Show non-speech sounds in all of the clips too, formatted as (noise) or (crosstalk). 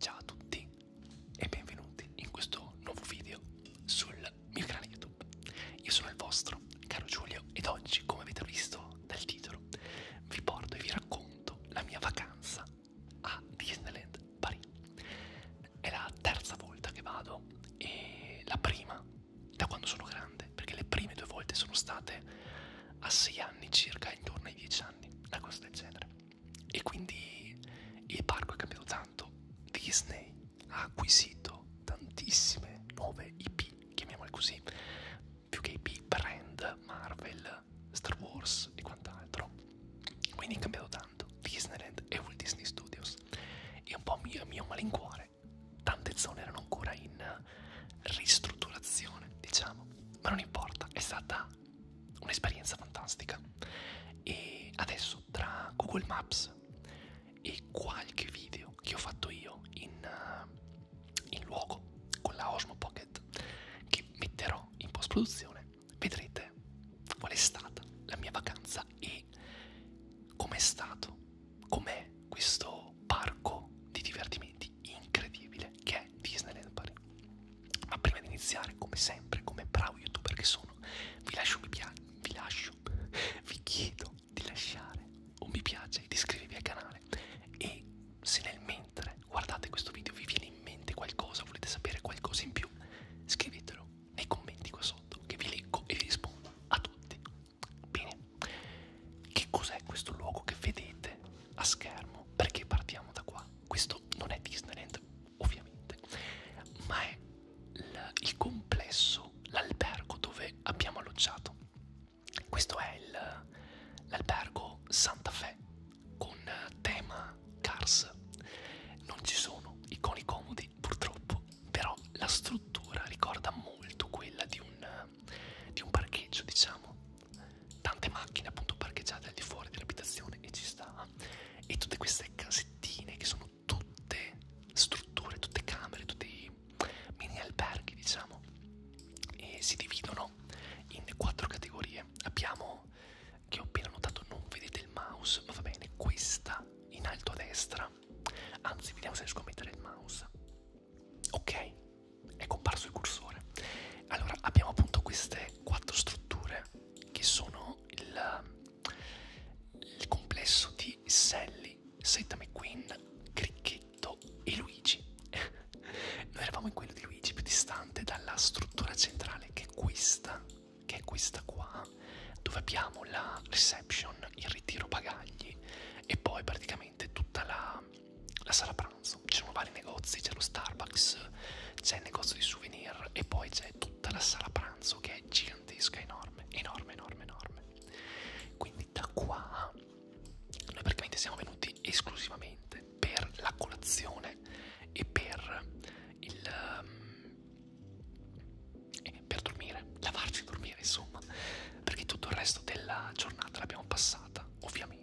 Ciao a tutti e benvenuti in questo nuovo video sul mio canale YouTube. Io sono il vostro caro Giulio ed oggi, come avete visto dal titolo, vi porto e vi racconto la mia vacanza a Disneyland Paris. È la terza volta che vado e la prima da quando sono grande, perché le prime due volte sono state a 6 anni circa, intorno ai 10 anni, una cosa del genere. E quindi il parco è cambiato tanto. Disney ha acquisito tantissime nuove IP, chiamiamole così, più che IP, brand, Marvel, Star Wars e quant'altro. Quindi è cambiato tanto. Disneyland e Walt Disney Studios. E un po' a mio, mio malincuore, tante zone erano ancora in ristrutturazione, diciamo. Ma non importa, è stata un'esperienza fantastica e adesso tra Google Maps e qualche video che ho fatto io in, eh, in luogo con la Osmo Pocket che metterò in post produzione vedrete qual è stata la mia vacanza e com'è stato com'è questo parco di divertimenti incredibile che è Disneyland Paris ma prima di iniziare, come sempre, come bravo youtuber che sono, vi lascio un mi piace, vi lascio, (laughs) vi chiedo di lasciare un mi piace e di iscrivervi al canale. E se nel mentre guardate questo video vi viene in mente qualcosa, volete sapere qualcosa in più, scrivetelo nei commenti qua sotto che vi leggo e vi rispondo a tutti. Bene, che cos'è questo luogo che vedete a schermo? Perché partiamo da qua? ma questo non è Disneyland ovviamente, ma è il, il complesso, l'albergo dove abbiamo alloggiato. Questo è l'albergo Santa Fe con tema Cars. Non ci sono i coni comodi purtroppo, però la struttura ricorda molto quella di un, di un parcheggio, diciamo tante macchine appunto parcheggiate al di fuori dell'abitazione e ci sta e tutte queste casettine che sono tutte strutture, tutte camere, tutti mini alberghi diciamo e si dividono in quattro categorie abbiamo che ho appena notato non vedete il mouse ma va bene questa in alto a destra anzi vediamo se riesco a mettere il mouse ok è comparso il cursore allora abbiamo appunto queste quattro strutture che sono il, il complesso di Sally, Setta McQueen, Cricchetto e Luigi. (laughs) Noi eravamo in quello di Luigi, più distante dalla struttura centrale, che è questa, che è questa qua, dove abbiamo la reception, il ritiro bagagli e poi praticamente tutta la, la sala pranzo ci sono vari negozi, c'è lo Starbucks, c'è il negozio di souvenir e poi c'è tutta la sala pranzo che è gigantesca, enorme, enorme, enorme, enorme. Quindi da qua noi praticamente siamo venuti esclusivamente per la colazione e per il... Um, e per dormire, lavarci e dormire insomma, perché tutto il resto della giornata l'abbiamo passata ovviamente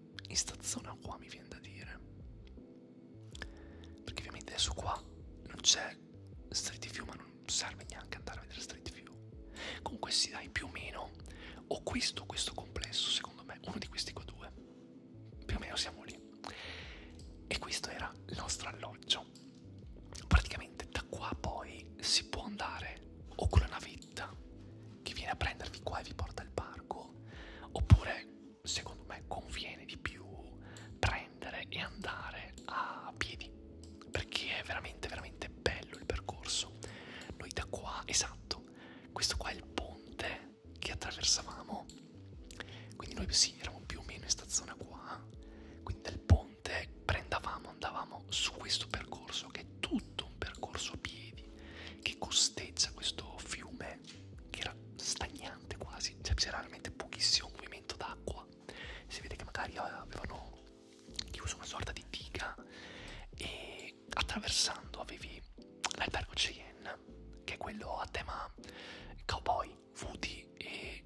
in sta zona qua mi viene da dire perché ovviamente adesso qua non c'è street view ma non serve neanche andare a vedere street view comunque si sì, dai più o meno ho questo questo complesso secondo me uno di questi qua due più o meno siamo lì e questo era il nostro alloggio praticamente da qua poi si può andare o con la navetta che viene a prendervi qua e vi porta al parco oppure secondo me conviene di più prendere e andare a piedi perché è veramente veramente bello il percorso noi da qua esatto questo qua è il ponte che attraversavamo quindi noi sì eravamo più o meno in sta zona qua quindi dal ponte prendavamo andavamo su questo percorso che è tutto un percorso a piedi che costeggia questo fiume cioè che era stagnante quasi, cioè c'era veramente pochissimo movimento d'acqua. Si vede che magari eh, avevano chiuso una sorta di diga e attraversando avevi l'albergo Cheyenne, che è quello a tema cowboy, Woody e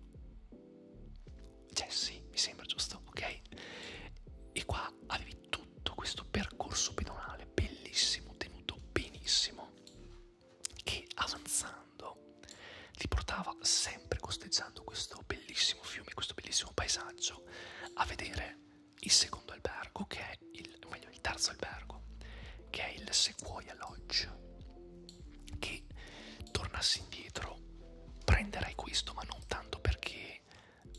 Jesse, mi sembra giusto, ok? E qua avevi tutto tutto questo percorso pedonale bellissimo, tenuto benissimo, che avanzando li portava sempre costeggiando questo bellissimo fiume, questo bellissimo paesaggio, a vedere il secondo albergo, che è il, meglio, il terzo albergo, che è il Sequoia Lodge, che tornassi indietro prenderei questo, ma non tanto perché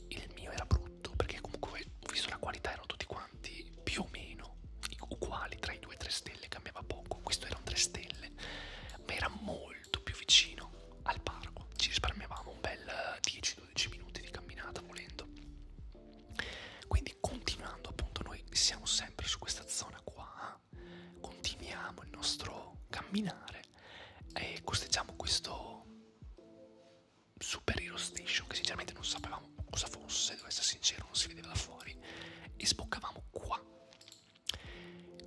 il mio era brutto, fatto perché comunque visto la qualità erano tutti quanti più o meno uguali tra i 2 e 3 stelle cambiava poco questo era un 3 stelle ma era molto più vicino al parco ci risparmiavamo un bel 10-12 eh, minuti di camminata volendo quindi continuando appunto noi siamo sempre su questa zona qua continuiamo il nostro camminare e costeggiamo questo Super Hero Station che sinceramente non sapevamo cosa fosse, devo essere sincero, non si vedeva da fuori e sboccavamo qua.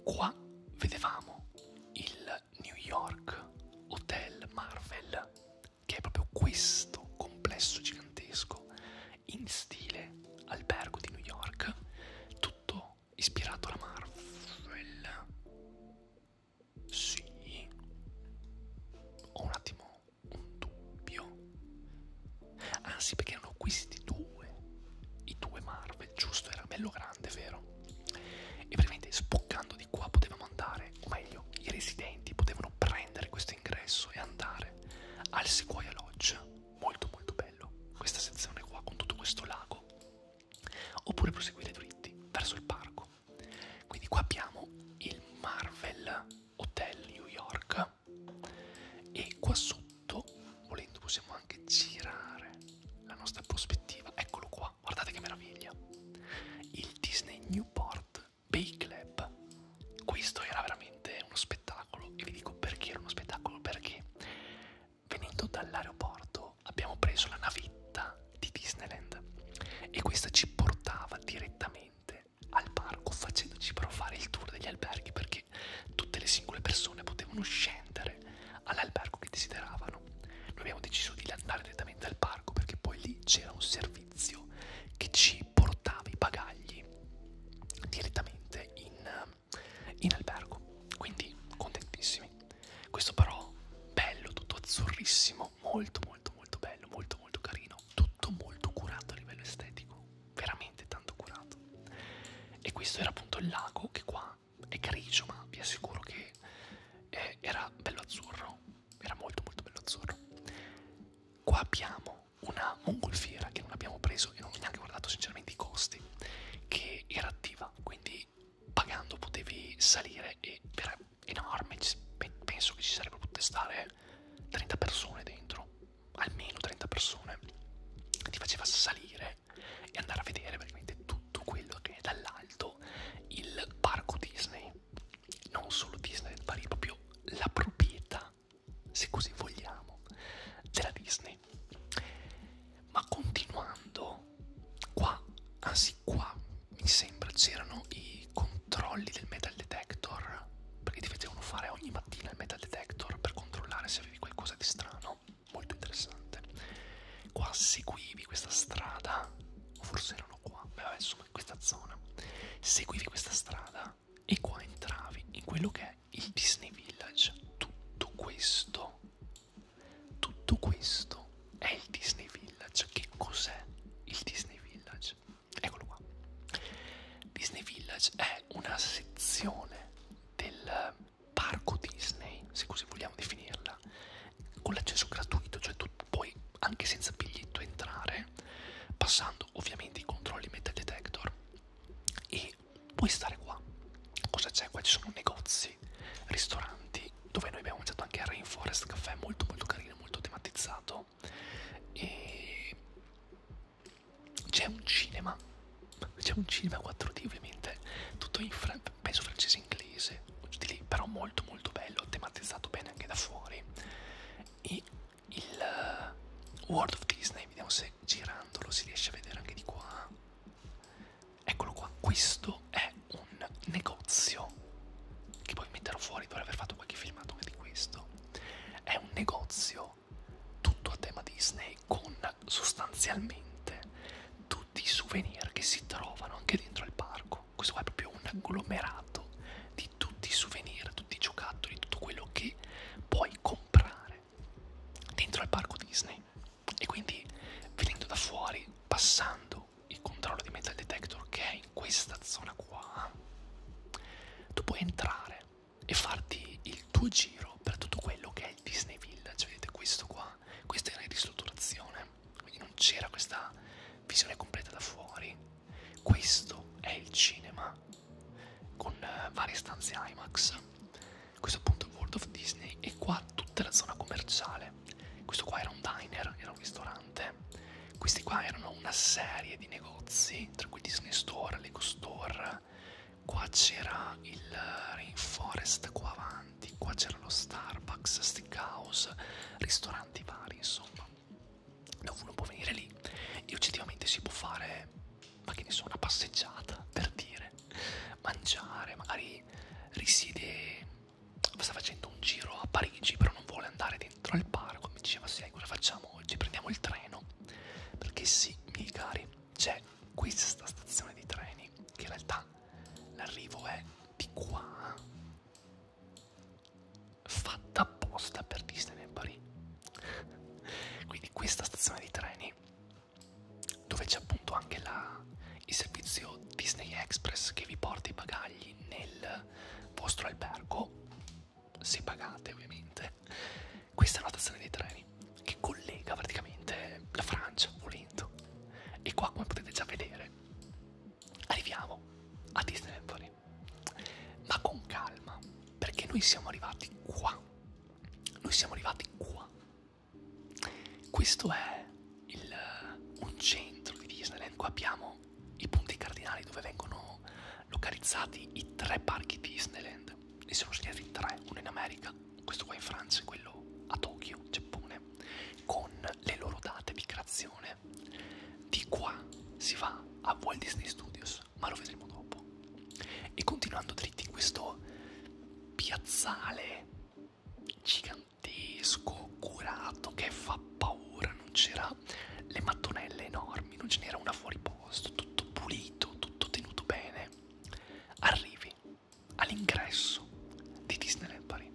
Qua vedevamo il New York Hotel Marvel, che è proprio questo complesso gigantesco in stile albergo di New York, tutto ispirato alla Marvel. Sì. Ho un attimo un dubbio. Anzi, perché erano questi due, i due Marvel, giusto? Era bello grande, vero? E praticamente spoccando di qua potevamo andare, o meglio, i residenti potevano prendere questo ingresso e andare al Sequoia Lodge. Molto molto bello, questa sezione qua con tutto questo lago. Oppure proseguire dritti verso il parco. Quindi qua abbiamo il Marvel Hotel New York e qua sotto, volendo, possiamo anche girare la nostra prospettiva. Eccolo qua, guardate che meraviglia. Il Disney Newport Bay Club. Questo era veramente uno spettacolo e vi dico perché era uno spettacolo, perché venendo dall'aeroporto abbiamo preso la navetta di Disneyland e questa ci portava direttamente andare al parco facendoci provare il tour degli alberghi perché tutte le singole persone potevano scendere all'albergo che desideravano. Noi abbiamo deciso di andare direttamente al parco perché poi lì c'era un servizio che ci portava i bagagli direttamente in, in albergo. Quindi contentissimi. Questo però bello, tutto azzurrissimo, bellissimo, molto molto molto bello, molto molto carino, tutto molto curato a livello estetico, veramente tanto curato. E questo era appunto il lago che qua è grigio, ma vi assicuro che eh, era bello azzurro, era molto molto bello azzurro. Qua abbiamo una mongolfiera che non abbiamo preso e non ho neanche guardato sinceramente i costi, che era attiva, quindi pagando potevi salire e veramente cioè enorme, penso che ci sarebbero potute stare 30 persone dentro, almeno 30 persone, ti faceva salire e andare a vedere veramente tutto quello che è dall'alto il parco Disney, non solo Disney del Parigi, proprio la proprietà, se così vogliamo, della Disney. Ma continuando, qua, anzi qua, mi sembra c'erano i i controlli del metal detector, perché ti facevano fare ogni mattina il metal detector per controllare se avevi qualcosa di strano, molto interessante. Qua seguivi questa strada, o forse erano qua, beh, insomma in questa zona, seguivi questa strada e qua entravi in quello che è il Disney Village. Tutto questo, tutto questo è il Disney Village. Che cos'è il Disney Village? Eccolo qua. Disney Village è una sezione del parco Disney, se così vogliamo definirla, con l'accesso gratuito, cioè tu puoi anche senza biglietto entrare, passando ovviamente i controlli metal detector e puoi stare qua. Cosa c'è? Qua ci sono negozi, ristoranti, dove noi abbiamo mangiato anche al Rainforest Caffè, molto molto carino, molto tematizzato no? E c'è un cinema, c'è un cinema 4D ovviamente, tutto in fra penso francese inglese, di lì, però molto molto bello, tematizzato bene anche da fuori. E il uh, World of Disney, vediamo se girandolo si riesce a vedere anche di qua. Eccolo qua, questo è un negozio che poi metterò fuori, dovrei aver fatto qualche filmato anche di questo è un negozio tutto a tema Disney con sostanzialmente tutti i souvenir che si trovano anche dentro il parco. Questo qua è proprio un agglomerato di tutti i souvenir, tutti i giocattoli, tutto quello che puoi comprare dentro il parco Disney. E quindi venendo da fuori, passando il controllo di metal detector che è in questa zona qua, tu puoi entrare e farti il tuo giro per tutto quello che è il Disney Village, vedete questo qua, questa era in ristrutturazione, quindi non c'era questa visione completa da fuori, questo è il cinema con eh, varie stanze IMAX, questo appunto è World of Disney e qua tutta la zona commerciale, questo qua era un diner, era un ristorante ristorante. Questi qua erano una serie di negozi, tra cui Disney Store, Lego Store, qua c'era il Rainforest qua avanti, qua c'era lo Starbucks, Steakhouse, ristoranti vari, insomma. Dove uno può venire lì e oggettivamente si può fare, ma che ne so, una passeggiata, per dire, mangiare, magari risiede, sta facendo un giro a Parigi, però non vuole andare dentro al parco mi diceva sai cosa facciamo oggi prendiamo il treno perché sì miei cari c'è questa stazione di treni che in realtà l'arrivo è di qua fatta apposta per Disney nel Paris quindi questa stazione di treni dove c'è appunto anche la, il servizio Disney Express che vi porta i bagagli nel vostro albergo se pagate ovviamente. Questa è una stazione dei treni che collega praticamente la Francia, volendo. E qua, come potete già vedere, arriviamo a Disney Empoli. Ma con calma, perché noi siamo arrivati qua. Noi siamo arrivati qua. Questo è il, un centro di Disneyland. Qua abbiamo i punti cardinali dove vengono localizzati i tre parchi Disneyland. Ne sono segnati tre, uno in America, questo qua in Francia e quello a Tokyo, Giappone, con le loro date di creazione. Di qua si va a Walt Disney Studios, ma lo vedremo dopo. E continuando dritti in questo piazzale gigantesco, curato, che fa paura, non c'era le mattonelle enormi, non ce n'era una fuori posto, tutto pulito, tutto tenuto bene. Arrivi all'ingresso di Disneyland Paris.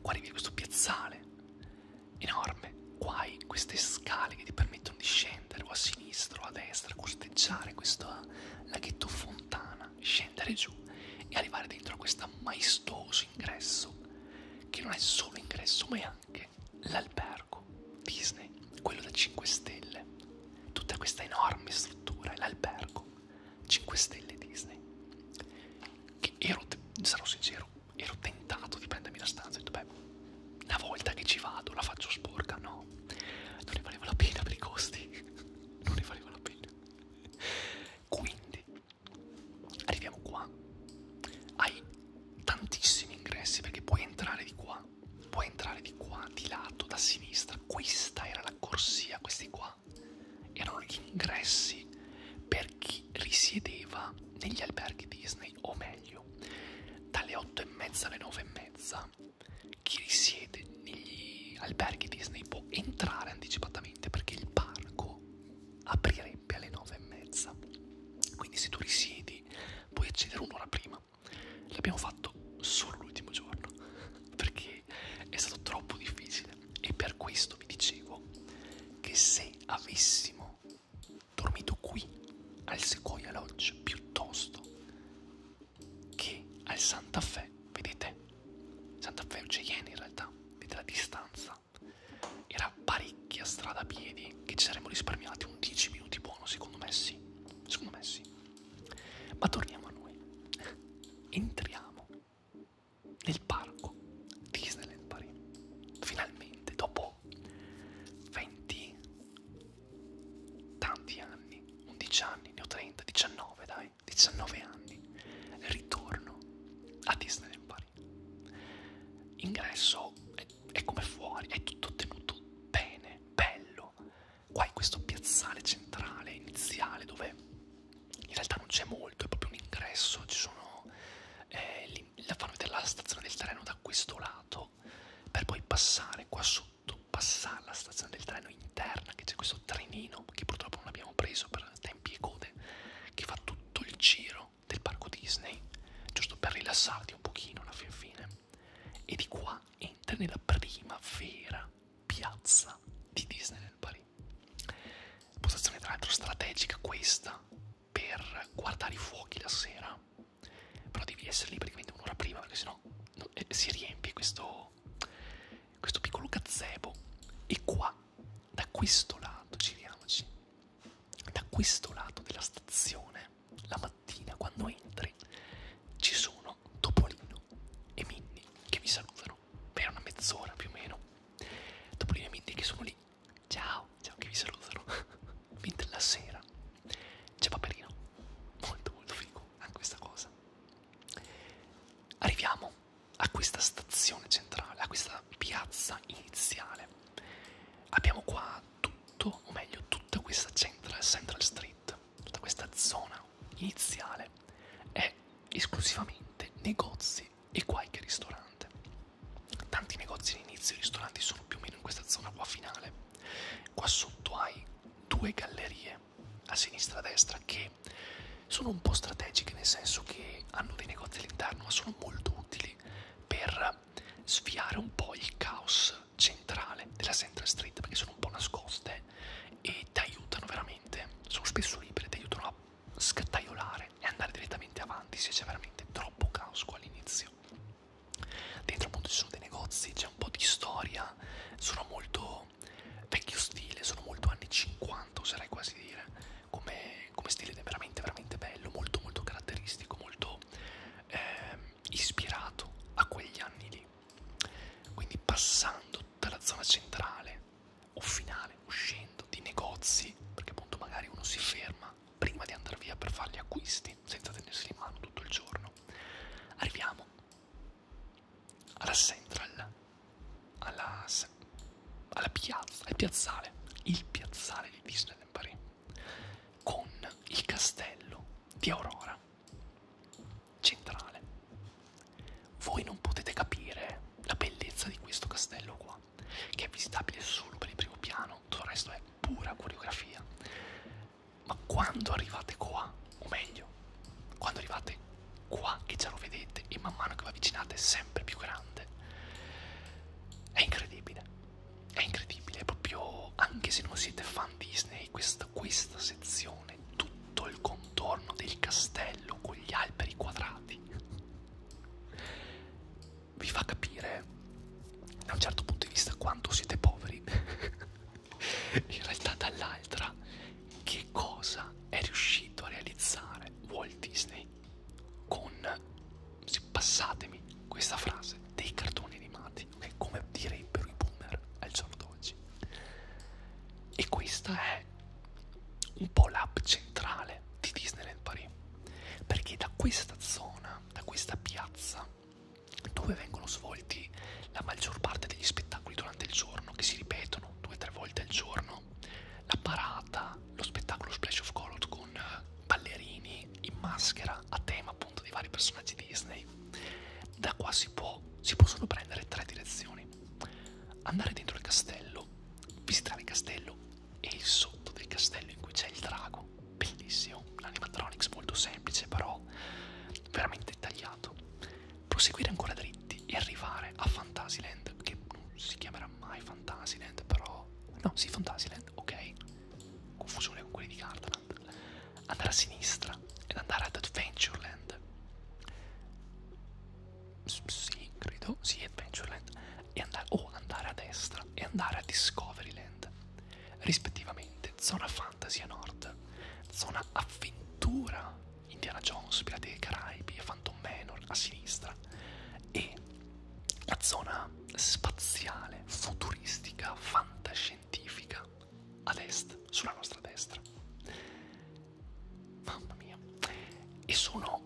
Guardi questo piazzale enorme, guai queste scale che ti permettono di scendere o a sinistra o a destra, costeggiare questo laghetto fontana, scendere giù e arrivare dentro a questo maestoso ingresso che non è solo ingresso ma è anche anche l'albergo Disney, quello da 5 stelle, tutta questa enorme struttura, l'albergo 5 stelle Disney, che ero, sarò sincero, ero tentato di prendermi la stanza e ho detto, beh, una volta che ci vado la faccio sporca, no, non ne valeva la pena per i costi, (laughs) non ne valeva la pena. Quindi arriviamo qua ai tantissimi ingressi perché puoi entrare di qua, puoi entrare di qua, di lato, da sinistra. Questa era la corsia, questi qua erano gli ingressi per chi risiedeva negli alberghi Disney, o meglio, dalle 8 e mezza alle 9 e mezza. Chi risiede negli alberghi Disney può entrare anticipatamente perché il parco aprirà esempio alle 9 e mezza quindi se tu risiedi puoi accedere un'ora prima l'abbiamo fatto solo l'ultimo giorno perché è stato troppo difficile e per questo vi dicevo che se avessimo dormito qui al Sequoia Lodge piuttosto che al Santa Fe vedete Santa Fe o Cheyenne in realtà vedete la distanza Esatto. era parecchia strada a piedi che ci saremmo risparmiati un 10 minuti buono secondo me sì secondo me sì ma torniamo a noi entriamo nel parco Disneyland Paris finalmente dopo 20 tanti anni 11 anni ne ho 30 19 dai 19 anni ritorno a Disneyland Paris fuori. Ingresso è, è come fuori, è tutto tenuto bene, bello. Qua in questo piazzale centrale iniziale dove in realtà non c'è molto, è proprio un ingresso, ci sono eh, lì, la fanno vedere la stazione del treno da questo lato per poi passare qua sotto, passare alla stazione del treno interna che c'è questo trenino che purtroppo non abbiamo preso per tempi e code che fa tutto il giro del parco Disney, giusto per rilassarti un pochino alla fin fine. E di qua entri nella prima vera piazza di Disney nel Paris. Posizione tra l'altro strategica questa per guardare i fuochi la sera. Però devi essere lì praticamente un'ora prima perché sennò no, eh, si riempie questo, questo piccolo gazebo. E qua, da questo lato, giriamoci, da questo lato della stazione la mattina quando entri ci sono Topolino e Minnie che vi salutano per una mezz'ora più o meno Topolino e Minnie che sono lì ciao ciao che vi salutano (laughs) mentre la sera c'è Paperino molto molto figo anche questa cosa arriviamo a questa stazione centrale a questa piazza iniziale abbiamo qua tutto, o meglio tutta questa Central, Central Street, tutta questa zona iniziale è esclusivamente negozi e qualche ristorante. Tanti negozi all'inizio, i ristoranti sono più o meno in questa zona qua finale. Qua sotto hai due gallerie a sinistra e a destra che sono un po' strategiche nel senso che hanno dei negozi all'interno ma sono molto utili per per sviare un po' il caos centrale della Central Street perché sono un po' nascoste e ti aiutano veramente, sono spesso libere, ti aiutano a scattaiolare e andare direttamente avanti se c'è veramente troppo caos qua all'inizio. Dentro appunto ci sono dei negozi, c'è un po' di storia, sono molto vecchio stile, sono molto anni 50 oserei quasi dire, come, come stile veramente veramente bello, molto molto caratteristico, molto eh, ispirato a quegli anni lì quindi passando dalla zona centrale o finale uscendo di negozi perché appunto magari uno si ferma prima di andare via per fare gli acquisti senza tenersi in mano tutto il giorno arriviamo alla central alla, alla piazza, al piazzale, il piazzale di Disneyland Paris con il castello di Aurora centrale. Voi non potete capire la bellezza di questo castello qua, che è visitabile solo per il primo piano, tutto il resto è pura coreografia. Ma quando arrivate qua, o meglio, quando arrivate qua che già lo vedete e man mano che vi avvicinate è sempre più grande, è incredibile è incredibile, proprio anche se non siete fan Disney, questa, questa sezione, tutto il contorno del castello con gli alberi quadrati, vi fa capire da un certo punto di vista quanto siete poveri, (laughs) in realtà dall'altra che cosa è riuscito a realizzare Walt Disney con, se passatemi questa frase, dei cartoni animati, okay? come direbbero i boomer al giorno d'oggi. E questa è un po' l'app centrale di Disneyland Paris, perché da questa zona, da questa piazza, dove vengono svolti la maggior parte degli spettacoli durante il giorno, che si ripetono due o tre volte al giorno, la parata, lo spettacolo Splash of Color con ballerini in maschera, a tema appunto dei vari personaggi di Disney. Da qua si può, si possono prendere tre direzioni. Andare dentro il castello, visitare il castello e il sotto del castello in cui c'è il drago. Bellissimo, un animatronics molto semplice però veramente tagliato. Proseguire ancora dritti e arrivare a Fantasyland, che non si chiamerà mai Fantasyland però... No, sì Fantasyland, ok confusione con quelli di Gardaland andare a sinistra ed andare ad Adventureland S sì credo sì Adventureland e andare o oh, andare a destra e andare a Discoveryland rispettivamente zona fantasy a nord zona avventura Indiana Jones Pirati dei Caraibi e Phantom Manor a sinistra e la zona spaziale, futuristica, fantascientifica ad est, sulla nostra destra. Mamma mia! E sono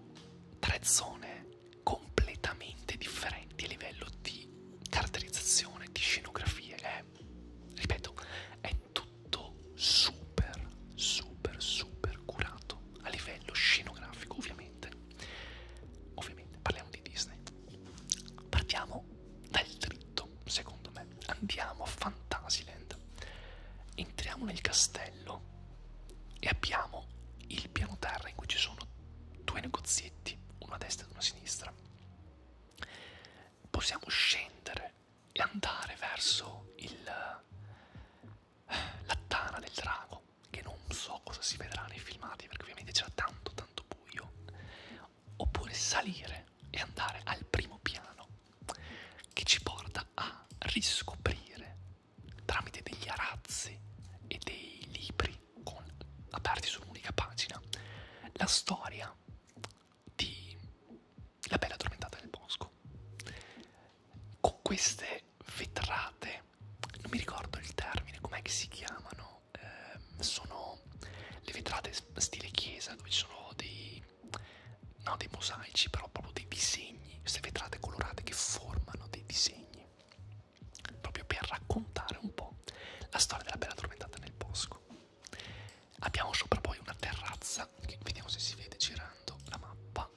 tre zone completamente differenti a livello di caratterizzazione, di scenografie. È, ripeto, è tutto super, super, super curato a livello scenografico, ovviamente. Ovviamente parliamo di Disney. Partiamo dal dritto, secondo me. Andiamo a Fantasyland. Entriamo nel castello e abbiamo il piano terra in cui ci sono due negozietti, uno a destra e uno a sinistra. Possiamo scendere e andare verso il la tana del drago che non so cosa si vedrà nei filmati perché ovviamente c'era tanto tanto buio oppure salire e andare al primo piano che ci porta a riscoprire tramite degli arazzi e dei libri con, aperti su un'unica pagina la storia di La bella addormentata del bosco con queste vetrate non mi ricordo il termine, com'è che si chiamano? Eh, sono le vetrate stile chiesa dove ci sono dei, no, dei mosaici, però proprio dei disegni, queste vetrate colorate che formano dei disegni, proprio per raccontare un po' la storia della bella tormentata nel bosco. Abbiamo sopra poi una terrazza, che vediamo se si vede girando la mappa.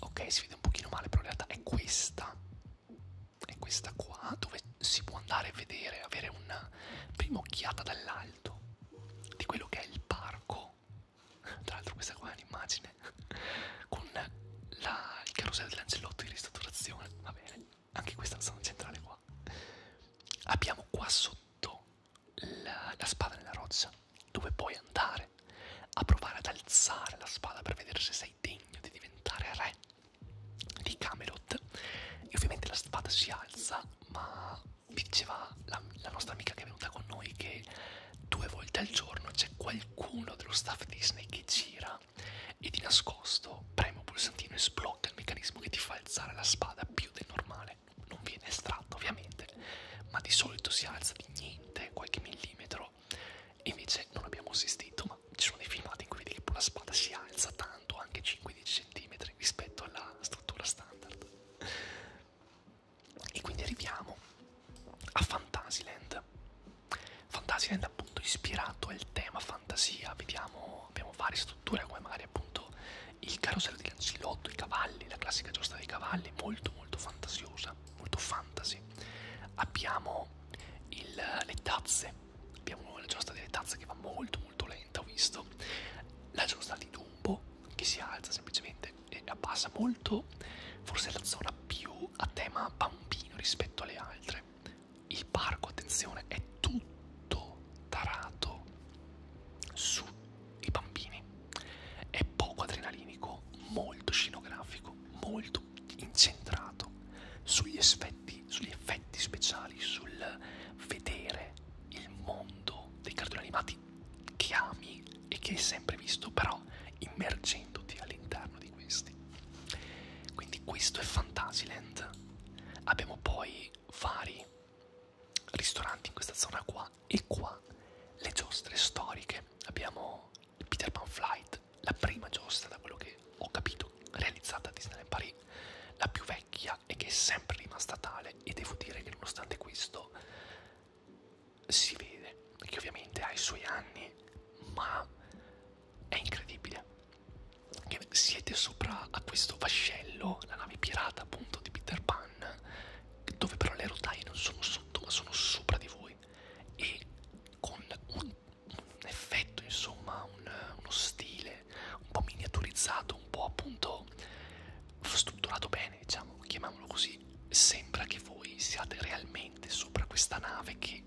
Ok, si vede un pochino male, però in realtà è questa è questa qua dove si può andare a vedere, avere una prima occhiata dall'alto di quello che è il parco. Tra l'altro questa qua è un'immagine con la, il carosello dell'angelotto in ristrutturazione, va bene, anche questa la zona centrale qua. Abbiamo qua sotto la, la spada nella roccia dove puoi andare a provare ad alzare la spada per vedere se sei sei degno di diventare re di Camelot e ovviamente la spada si alza ma diceva la, la nostra amica che è venuta con noi che due volte al giorno c'è qualcuno dello staff Disney che gira e di nascosto preme un pulsantino e sblocca il meccanismo che ti fa alzare la spada più del normale non viene estratto ovviamente ma di solito si alza di niente qualche millimetro retro. E invece non abbiamo assistito, ma ci sono dei filmati in cui vedi che la spada si alza tanto, anche 5-10 cm rispetto alla struttura standard. E quindi arriviamo a Fantasyland. Fantasyland appunto ispirato al tema fantasia, vediamo, abbiamo varie strutture come magari appunto il carosello di Lancilotto, i cavalli, la classica giostra dei cavalli, molto molto fantasiosa, molto fantasy. Abbiamo il, le tazze abbiamo la giostra delle tazze che va molto molto lenta ho visto la giostra di Dumbo che si alza semplicemente e abbassa molto forse la zona più a tema bambino rispetto alle altre il parco attenzione è tutto tarato sui bambini è poco adrenalinico molto scenografico molto tutto incentrato sugli effetti, sugli effetti speciali, sul vedere il mondo dei cartoni animati che ami e che hai sempre visto, però immergendoti all'interno di questi. Quindi questo è Fantasyland. Abbiamo poi vari ristoranti in questa zona qua e qua le giostre storiche. Abbiamo il Peter Pan Flight, la prima giostra, da quello che ho capito, realizzata a Disneyland Paris, la più vecchia e che è sempre rimasta tale e devo dire che nonostante questo si vede che ovviamente ha i suoi anni, ma è incredibile che siete sopra a questo vascello, la nave pirata appunto di Peter Pan, dove però le rotaie non sono sotto ma sono sopra di voi e con un un effetto, insomma, un, uno stile un po' miniaturizzato, un po' appunto strutturato bene, diciamo, chiamiamolo così. Sembra che voi siate realmente sopra questa nave che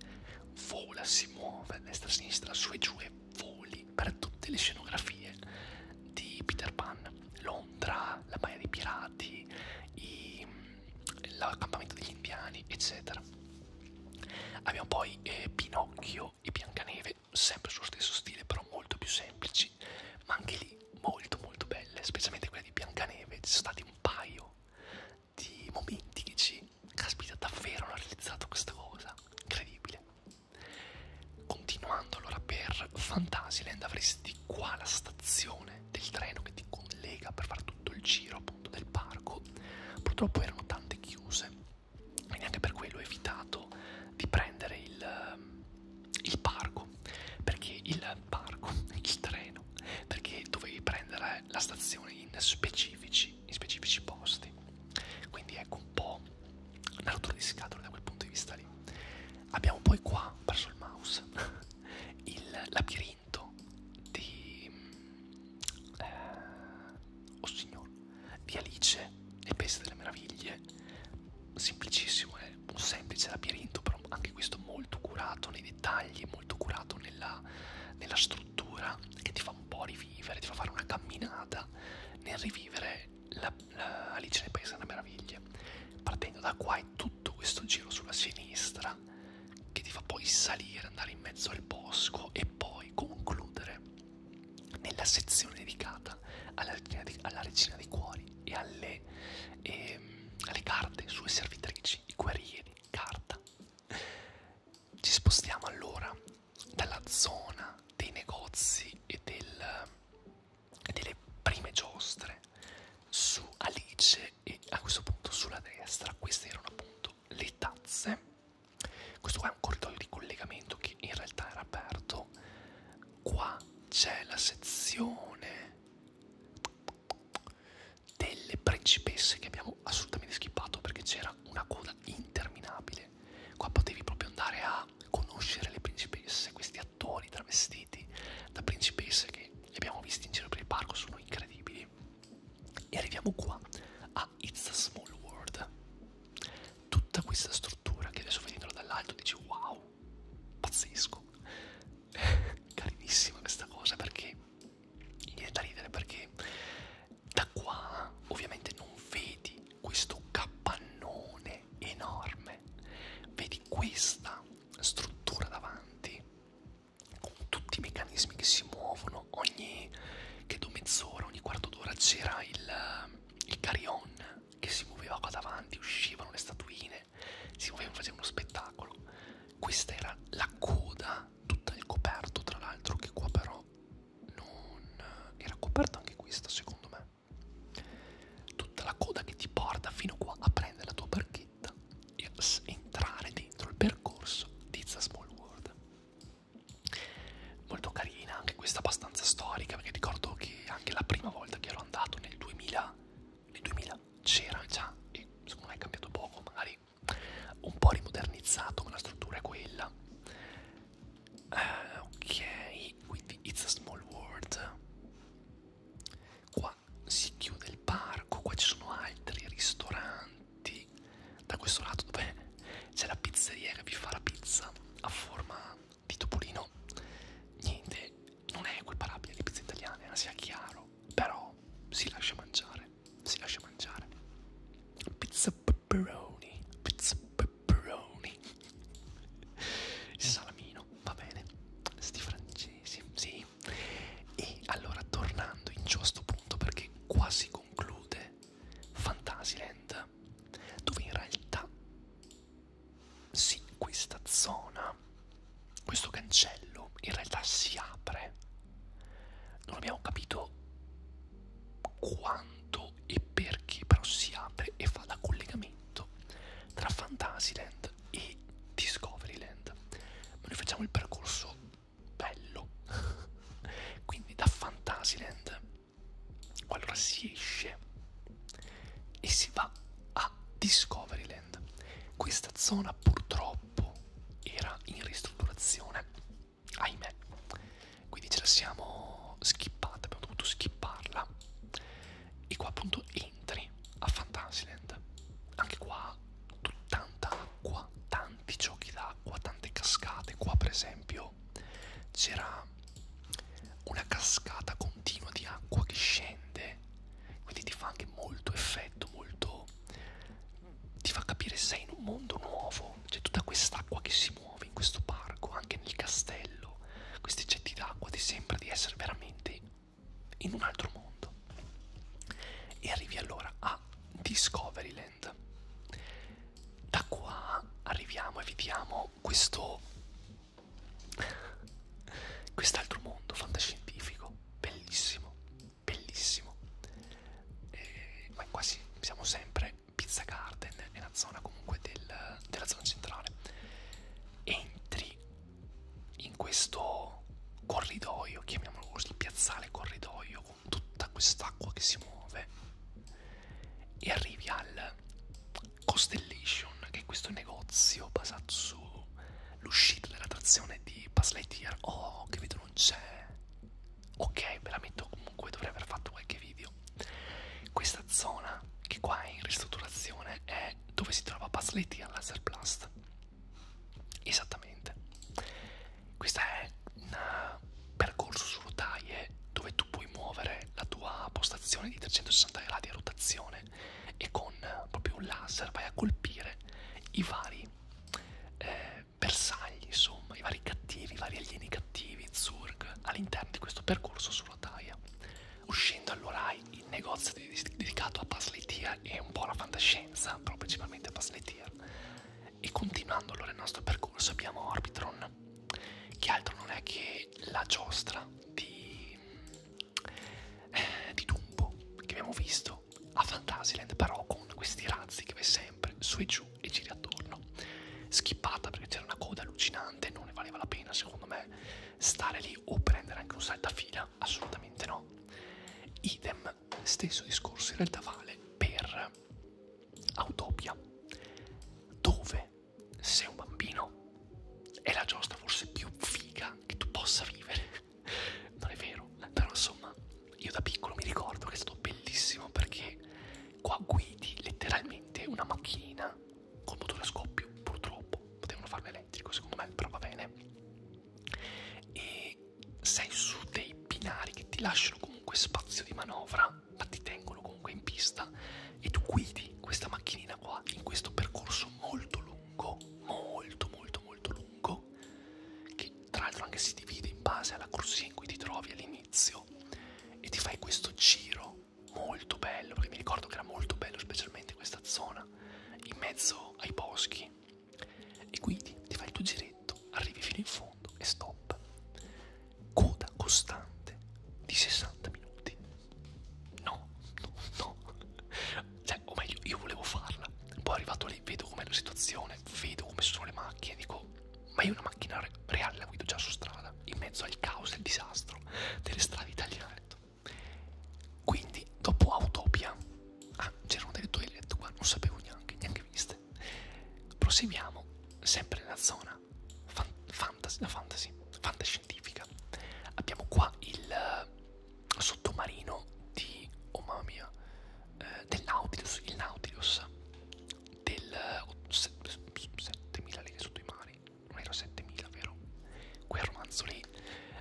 vola, si muove a destra, a sinistra, su e giù e voli per tutte le scenografie di Peter Pan, Londra, la Baia dei Pirati, l'accampamento degli indiani, eccetera. Abbiamo poi eh, Pinocchio e Biancaneve, sempre sullo stesso stile, però molto più semplici, ma anche lì molto molto belle, specialmente quella di Biancaneve, ci sono stati un paio di momenti che ci caspita davvero hanno realizzato questa cosa incredibile continuando allora per Fantasyland avresti qua la stazione del treno che ti collega per fare tutto il giro appunto del parco Purtroppo erano tante chiuse e neanche per quello ho evitato di prendere il, ehm, il parco, perché il parco, (laughs) il treno, perché dovevi prendere la stazione in specifici, in specifici posti. Quindi ecco un po' una rottura di scatole da quel punto di vista lì. Abbiamo poi qua, verso il mouse, (laughs) il labirinto commento di eh, oh signor di Alice nel Paese delle Meraviglie semplicissimo è eh? un semplice labirinto però anche questo molto curato nei dettagli molto curato nella, nella struttura che ti fa un po' rivivere ti fa fare una camminata nel rivivere la, la Alice nel Paese delle Meraviglie partendo da qua è tutto questo giro sulla sinistra musica che ti fa poi salire, andare in mezzo al bosco e poi concludere nella sezione dedicata alla regina, di, alla regina dei cuori e alle, e ehm, alle carte, sue servitrici, i guerrieri, carta. Ci spostiamo allora dalla zona dei negozi e, del, e delle prime giostre su Alice e a questo punto sulla destra queste erano appunto le tazze questo qua è un corridoio di collegamento che in realtà era aperto. Qua c'è la sezione delle principesse che abbiamo assolutamente schippato perché c'era una coda interminabile. Qua potevi proprio andare a conoscere le principesse, questi attori travestiti da principesse che li abbiamo visti in giro per il parco, sono incredibili poi e arriviamo qua a It's a Small World tutta questa struttura che adesso vedendola dall'alto dici wow pazzesco (laughs) carinissima questa cosa perché viene da ridere perché da qua ovviamente non vedi questo capannone enorme vedi questa struttura davanti con tutti i meccanismi che si muovono, ogni credo mezz'ora, ogni quarto d'ora c'era il, il carillon che si muoveva qua davanti, uscivano le statuine, si muovevano, faceva uno spettacolo. Questa era la coda, tutta il coperto, tra l'altro, che qua però non era coperta anche questa, secondo me. Tutta la coda che ti porta fino qua a prendere la tua barchetta e entrare dentro il percorso di The Small World molto carina, anche questa abbastanza storica, perché ricordo che anche la prima volta che ero andato nel 2000, nel 2000 c'era già, e secondo me è cambiato poco, magari un po' rimodernizzato, ma la struttura è quella. Uh, ok, quindi It's a Small World. Qua si chiude il parco, qua ci sono altri ristoranti davanti da questo lato dove c'è la pizzeria che vi fa la pizza a forma di topolino niente non è equiparabile alle pizze italiane eh, sia chiaro però si lascia mangiare si lascia mangiare pizza pepperoni pizza pepperoni il salamino va bene sti francesi sì e allora tornando in giù a sto punto perché quasi conclude Fantasyland, dove in realtà sì, questa zona, questo cancello in realtà si apre. Non abbiamo capito quanto e perché, però si apre e fa da collegamento tra Fantasyland e Discoveryland. Ma noi facciamo il percorso bello (laughs) quindi da Fantasyland allora si esce e si va a Discoveryland questa zona purtroppo era in ristrutturazione ahimè quindi ce la siamo skippata abbiamo dovuto skipparla e qua appunto entri a Fantasyland anche qua tanta acqua tanta tanti giochi d'acqua, tante cascate. Qua, per esempio, c'era una cascata continua di acqua che scende, quindi ti fa anche molto effetto, molto. ti fa capire sei in un mondo nuovo. C'è tutta quest'acqua che si muove in questo parco, anche nel castello. Questi getti d'acqua ti sembra di essere veramente in un altro mondo. E arrivi allora a Discoveryland Island. Da qua arriviamo e vediamo questo quest'altro mondo fantascientifico, bellissimo, bellissimo. E, eh, ma quasi siamo sempre Pizza Garden, è una zona comunque del, della zona centrale. Entri in questo corridoio, chiamiamolo così, piazzale corridoio tutta quest'acqua che si muove e arrivi al Costellation che è questo negozio basato sull'uscita della trazione di Pass Lightyear oh che vedo non c'è ok ve la metto comunque dovrei aver fatto qualche video questa zona che qua è in ristrutturazione è dove si trova Pass Lightyear Laser Blast esattamente questo è un percorso su rotaie dove tu puoi muovere la tua postazione di 360 gradi a rotazione e con proprio un laser vai a colpire i vari eh, bersagli, insomma, i vari cattivi, i vari alieni cattivi, Zurg, all'interno di questo percorso su rotaia. Uscendo allora hai il negozio dedicato a Puzzle Tier e un po' alla fantascienza, però principalmente a Puzzle Tier e continuando allora il nostro percorso abbiamo Orbitron, che altro non è che la giostra di, eh, di Dumbo che abbiamo visto a Fantasyland, però con questi razzi che va sempre su e giù e gira attorno. Schippata perché c'era una coda allucinante, non ne valeva la pena secondo me stare lì o prendere anche un saltafila, assolutamente no. Idem, stesso discorso in realtà vale per a Utopia, dove sei un bambino è la giostra forse più figa che tu possa vivere. (laughs) Non è vero, però insomma, io da piccolo mi ricordo che è stato bellissimo perché qua guidi letteralmente una macchinina col motore a scoppio, purtroppo. Potevano farlo elettrico, secondo me, però va bene. E che sei su dei binari che ti lasciano comunque spazio di manovra, ma ti tengono comunque in pista e tu guidi questa macchinina qua in questo percorso molto lungo, molto molto molto lungo, che tra l'altro anche si divide in base alla corsia in cui ti trovi all'inizio e ti fai questo giro molto bello, perché mi ricordo che era molto bello specialmente questa zona in mezzo ai boschi e quindi ti fai il tuo giretto fumetto, arrivi fino in fondo e stop. Coda costante di 60 minuti. No, no, no. Cioè, o meglio, io volevo farla. Poi arrivato lì, vedo com'è la situazione, vedo come sono le macchine, dico, ma io una macchina re reale la guido già su strada, in mezzo al caos e al disastro delle strade italiane. Quindi, dopo Autopia, ah, c'erano delle toilette qua, non sapevo neanche, neanche viste. Proseguiamo sempre nella zona fan fantasy, no, fantasy, fantascientifica. Abbiamo qua il uh, sottomarino di, oh mamma mia, uh, del Nautilus, il Nautilus del uh, 7000 leghe sotto i mari, non era 7000 vero? Quel romanzo lì,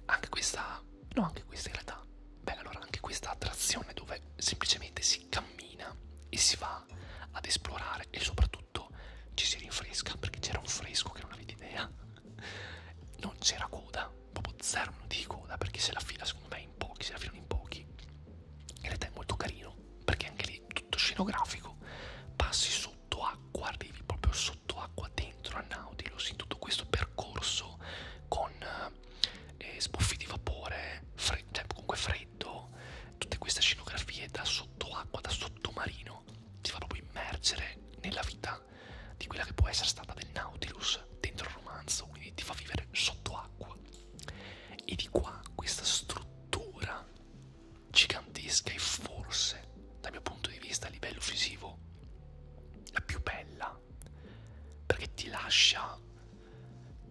anche questa, no anche questa in realtà, beh allora anche questa attrazione dove semplicemente si cammina cammina e si va ad esplorare e soprattutto ci si rinfresca perché c'era un fresco che non avete idea non c'era coda proprio zero minuti di coda perché se la fila secondo me in pochi se la filano in pochi in realtà è molto carino perché anche lì tutto scenografico passi sotto acqua arrivi proprio sotto acqua dentro a Nautilus in tutto questo percorso con eh, eh, sbuffi di vapore, fred cioè comunque freddo, tutte queste scenografie da sott'acqua, da sottomarino, ti fa proprio immergere nella vita di quella che può essere stata del Nautilus dentro il romanzo, quindi ti fa vivere sott'acqua. E di qua questa struttura gigantesca e forse, dal mio punto di vista a livello visivo, la più bella, perché ti lascia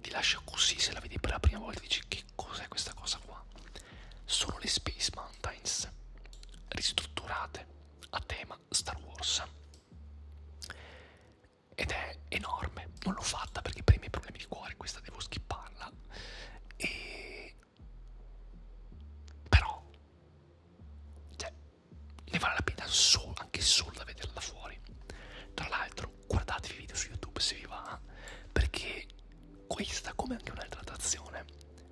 ti lascia così se la vedi per la prima volta e dici che cos'è questa cosa qua sono le Space Mountains ristrutturate a tema Star Wars ed è enorme non l'ho fatta perché per i miei problemi di cuore questa devo skipparla e però cioè, ne vale la pena solo, anche solo da vederla fuori tra l'altro guardatevi i video su YouTube se vi va, perché questa, come anche un'altra attrazione,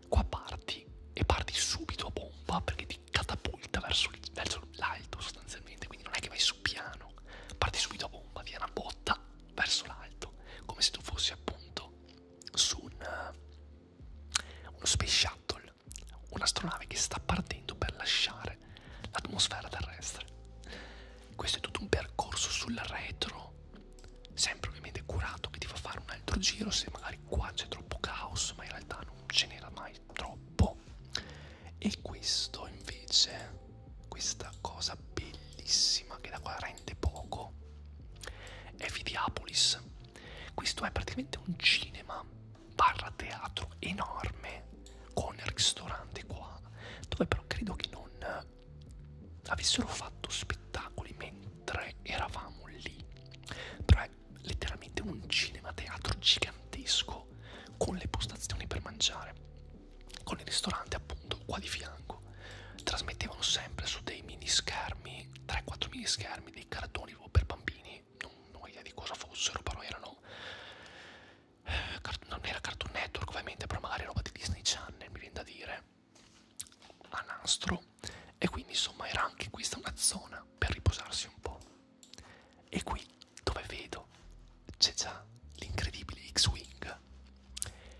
qua parti e parti subito a bomba perché ti catapulta verso l'alto sostanzialmente, quindi non è che vai su piano, parti subito a bomba, ti è una botta verso l'alto, come se tu fossi appunto su un, uno space shuttle, un'astronave che sta partendo per lasciare l'atmosfera terrestre. Questo è tutto un percorso sul retro, sempre ovviamente curato, che ti fa fare un altro giro se magari qua c'è troppo caos, ma in realtà non ce n'era mai troppo. E questo invece, questa cosa bellissima che da qua rende poco, è Videapolis. Questo è praticamente un cinema barra teatro enorme con il ristorante qua, dove però credo che non eh, avessero fatto spettacoli mentre eravamo lì. Però è cioè, letteralmente un cinema teatro gigantesco con le postazioni per mangiare, con il ristorante appunto qua di fianco. Trasmettevano sempre su dei mini schermi, 3-4 mini schermi, dei cartoni per bambini, non, non ho idea di cosa fossero, però erano non era Cartoon Network ovviamente, però magari roba di Disney Channel, mi viene da dire, a nastro, e quindi insomma era anche questa una zona per riposarsi un po'. E qui dove vedo c'è già l'incredibile X-Wing.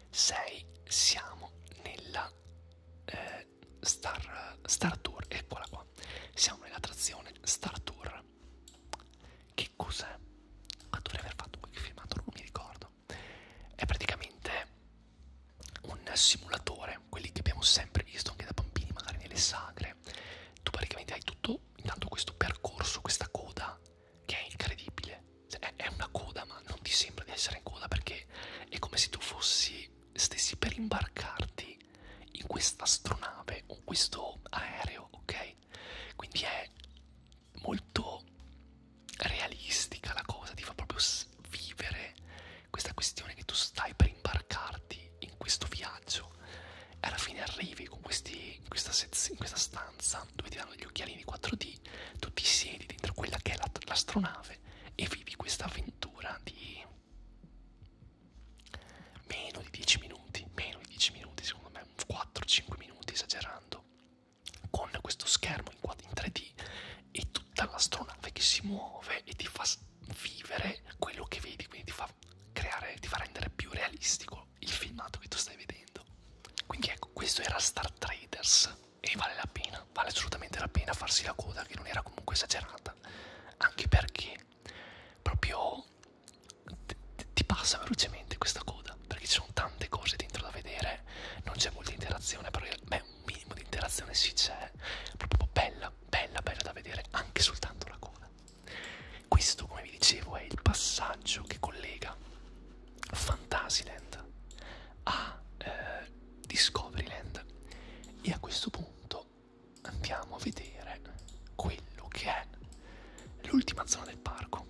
6 siamo nella eh, Star, Star Tour, eccola qua, siamo nell'attrazione Star Tour. Che cos'è? Ah, dovrei aver fatto qualche filmato, non mi ricordo. È praticamente un simulatore, quelli che abbiamo sempre visto anche da bambini, magari nelle sagre. Tu praticamente hai tutto, intanto questo percorso, questa coda, che è incredibile. Cioè, è una coda, ma non ti sembra di essere in coda perché è come se tu fossi, stessi per imbarcarti in questa astronave o questo aereo, ok? Quindi è molto realistica la cosa, ti fa proprio vivere questa questione che tu stai per imbarcarti in questo viaggio e alla fine arrivi con questi, in, questa in questa stanza dove ti danno gli occhialini 4D, tu ti siedi dentro quella che è l'astronave e vivi questa avventura di meno di 10 minuti, meno di 10 minuti secondo me 4-5 minuti esagerando con questo schermo in 3D e tutta l'astronave che si muove e ti fa vivere quello che vedi, quindi ti fa creare, ti fa rendere più realistico il filmato che tu stai vedendo. Quindi ecco, questo era Star Traders e vale la pena, vale assolutamente la pena farsi la coda che non era comunque esagerata, anche perché proprio ti passa velocemente questa coda perché ci sono tante cose dentro da vedere non c'è molta interazione però beh, un minimo di interazione sì c'è proprio bella bella bella da vedere anche soltanto la coda questo come vi dicevo è il passaggio che collega Fantasyland a eh, Discoveryland e a questo punto andiamo a vedere quello che è l'ultima zona del parco gioco,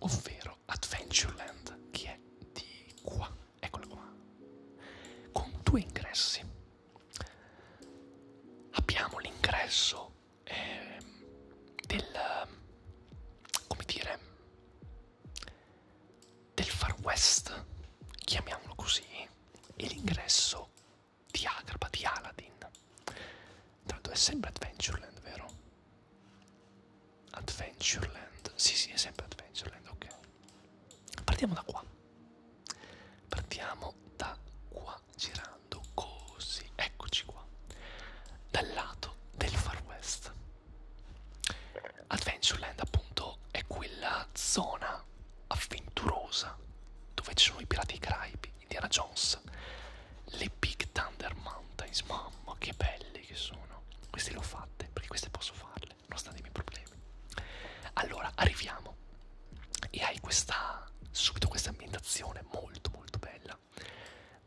ovvero Adventureland, che è di qua, eccolo qua, con due ingressi. Abbiamo l'ingresso eh, del, come dire, del Far West, chiamiamolo così, e l'ingresso di Agraba, di Aladdin. Tanto è sempre Adventureland, vero? Adventureland, sì sì, è sempre Adventureland, ok. Partiamo da qua. Partiamo da qua, girando così, eccoci qua. Dal lato del Far West. Adventureland appunto è quella zona avventurosa dove ci sono i pirati caraibi Indiana Jones, le Big Thunder Mountains, mamma che belle che sono, queste le ho fatte perché queste posso farle, nonostante i miei problemi. Allora, arriviamo e hai questa, subito questa ambientazione molto molto bella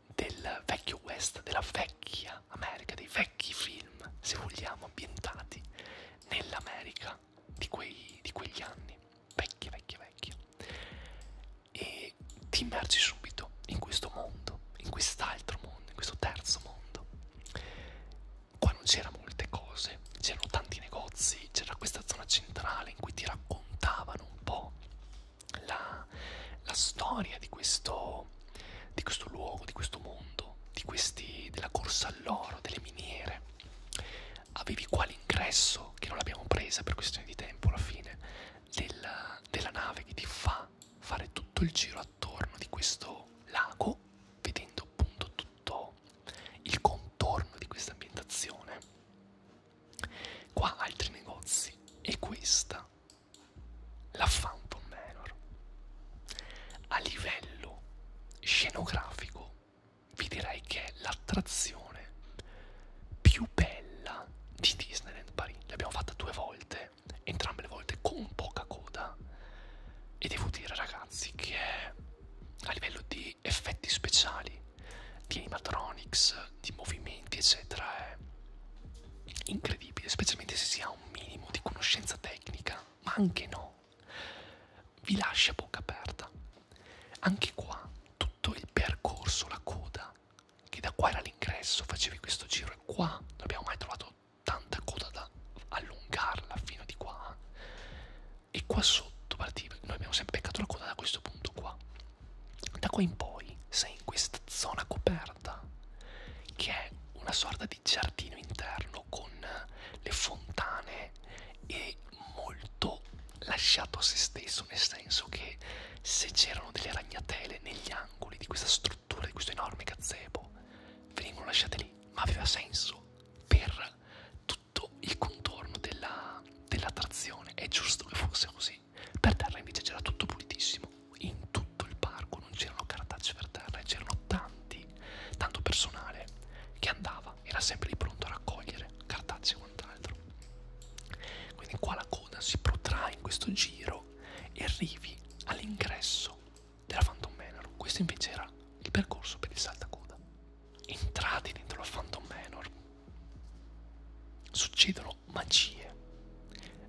del vecchio West, della vecchia America, dei vecchi film, se vogliamo, ambientati nell'America di, di quegli anni vecchie, vecchie, vecchie e ti immergi subito in questo mondo, in quest'altro mondo, in questo terzo mondo. Qua non c'erano molte cose, c'erano tanti negozi, c'era questa zona centrale in cui ti raccontavano un po' la, la storia di questo, di questo luogo, di questo mondo, di questi, della corsa all'oro, delle miniere avevi qua l'ingresso, che non l'abbiamo presa per questione di tempo alla fine, della, della nave che ti fa fare tutto il giro attorno di questo lago, vedendo appunto tutto il contorno di questa ambientazione. Qua altri negozi e questa, la Phantom Manor. A livello scenografico vi direi che l'attrazione più bella di Disneyland Paris. L'abbiamo fatta due volte, entrambe le volte con poca coda. E devo dire, ragazzi, che a livello di effetti speciali, di animatronics, di movimenti, eccetera, è incredibile, specialmente se si ha un minimo di conoscenza tecnica, ma anche no. Vi lascia bocca aperta. Anche qua tutto il percorso, la coda che da qua era l'ingresso, facevi questo giro e qua non abbiamo mai trovato tanta coda da allungarla fino di qua e qua sotto partiva, noi abbiamo sempre beccato la coda da questo punto qua. Da qua in poi sei in questa zona coperta che è una sorta di giardino interno con le fontane e molto lasciato a se stesso, nel senso che se c'erano delle ragnatele negli angoli di questa struttura, di questo enorme gazebo, venivano lasciate lì, ma aveva senso per tutto il contorno dell'attrazione, dell è giusto che fosse così. Per terra invece c'era tutto pulitissimo, in tutto il parco non c'erano cartacce per terra, c'erano tanti, tanto personale che andava, era sempre lì pronto a raccogliere cartacce e quant'altro. Quindi qua la coda si protrae in questo giro e arrivi all'ingresso della Phantom Manor. Questo invece era il percorso per il saltacoda. Entrati dentro la Phantom Manor, succedono magie.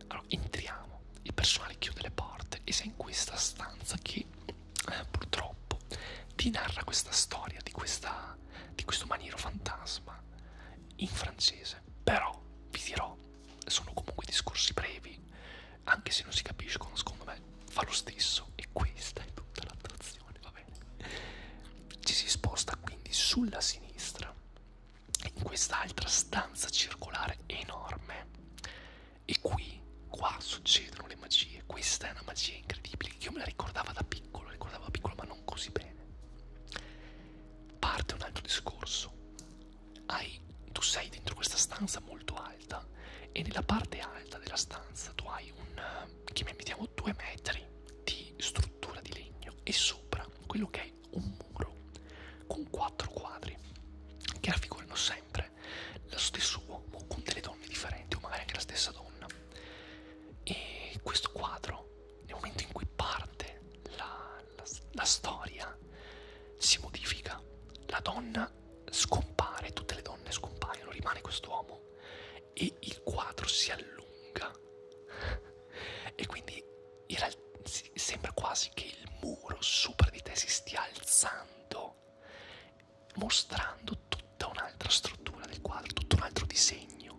Allora entriamo, il personale chiude le porte e sei in questa stanza che eh, purtroppo ti narra questa storia di, questa, di questo maniero fantasma in francese, però vi dirò, sono comunque discorsi brevi, anche se non si capiscono, secondo me fa lo stesso e questa è tutta l'attrazione, va bene? Ci si sposta quindi sulla sinistra, in quest'altra stanza circolare enorme e qui, qua succedono le magie, questa è una magia incredibile, io me la ricordavo da piccolo, la ricordavo da piccolo ma non così bene parte un altro discorso. Hai, tu sei dentro questa stanza molto alta e nella parte alta della stanza tu hai un, che mettiamo, due metri di struttura di legno e sopra quello che è un muro con quattro quadri che raffigurano sempre lo stesso uomo con delle donne differenti o magari anche la stessa donna. E questo quadro nel momento in cui parte la, la, la storia si modifica, la donna scompare, tutte le donne scompaiono, rimane quest'uomo e il quadro si allunga e quindi in realtà sembra quasi che il muro sopra di te si stia alzando mostrando tutta un'altra struttura del quadro, tutto un altro disegno legno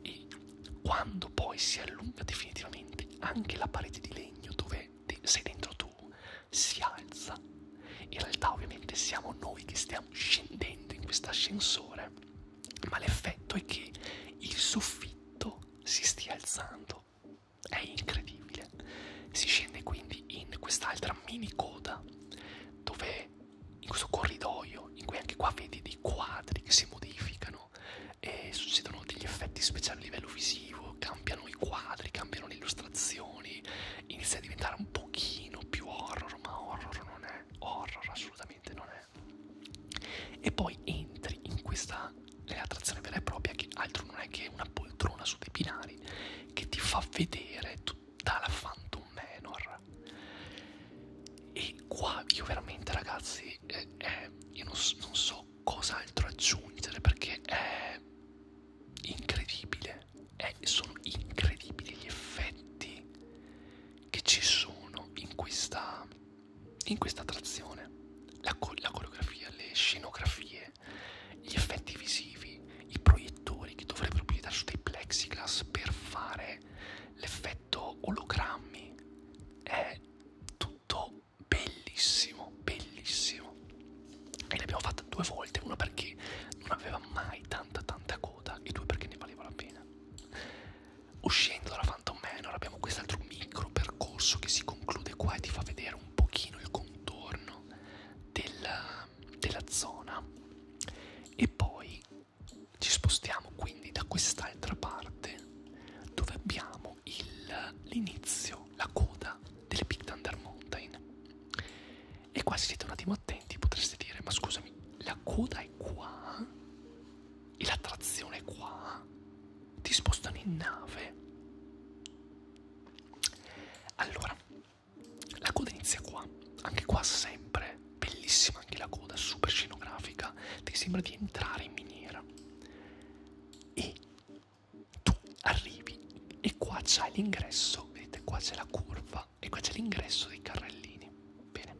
e quando poi si allunga definitivamente anche la parete di legno dove sei dentro tu si alza. In realtà ovviamente siamo noi che stiamo scendendo in questo ascensore, ma l'effetto è che il soffitto si stia alzando. È incredibile. Si scende quindi in quest'altra mini coda dove in questo corridoio in cui anche qua vedi dei quadri che si modificano e succedono degli effetti speciali a livello visivo, cambiano i quadri, cambiano le illustrazioni, inizia a diventare un pochino più horror, ma horror non è, horror assolutamente non è. E poi entri in questa attrazione vera e propria che altro non è che una poltrona su dei binari che ti fa vedere tutta la Phantom Manor ancora e qua io veramente ragazzi eh, eh, io non, non so cos'altro aggiungere perché è incredibile eh, sono incredibili gli effetti che ci sono in questa in questa attrazione la, la coreografia le scenografie gli effetti visivi i proiettori che dovrebbero proiettare su dei plexiglass per fare l'effetto effetto ologrammi è tutto bellissimo bellissimo e l'abbiamo fatta due volte una perché non aveva mai tanta tanta coda e due perché ne valeva la pena uscendo dalla Phantom Manor abbiamo quest'altro micro percorso che si conclude qua e ti fa vedere un pochino il contorno della, della zona e poi ci spostiamo quindi da quest'altra parte dove abbiamo l'inizio, la coda delle Big Thunder Mountain. E qua se siete un attimo attenti potreste dire, ma scusami, la coda è qua e la trazione è qua? Ti spostano in nave? Allora, la coda inizia qua, anche qua sempre bellissima anche la coda, super scenografica, ti sembra di entrare in miniera. E tu arrivi e qua c'è l'ingresso, vedete qua c'è la curva e qua c'è l'ingresso dei carrellini. Bene,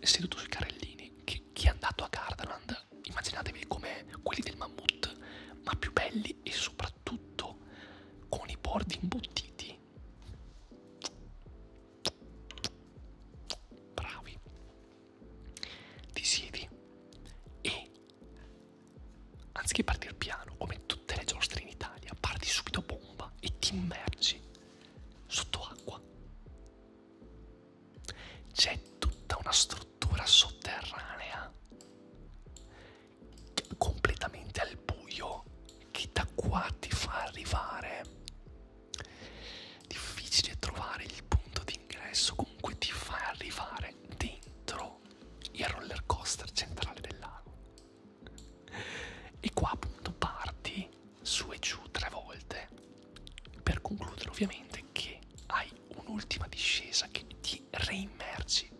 seduto sui carrellini, chi, chi è andato a Gardaland, immaginatevi come quelli del mammut, ma più belli e soprattutto con i bordi imbottiti bravi ti siedi e anziché partire piano come tutte le giostre in Italia parti subito a bomba e ti immergi sotto acqua c'è tutta una struttura sotterranea completamente al buio che da qua ti fa arrivare difficile trovare il punto d'ingresso comunque ti fa arrivare dentro il roller coaster centrale del lago e qua appunto parti su e giù tre volte per concludere ovviamente che hai un'ultima discesa che ti reimmergi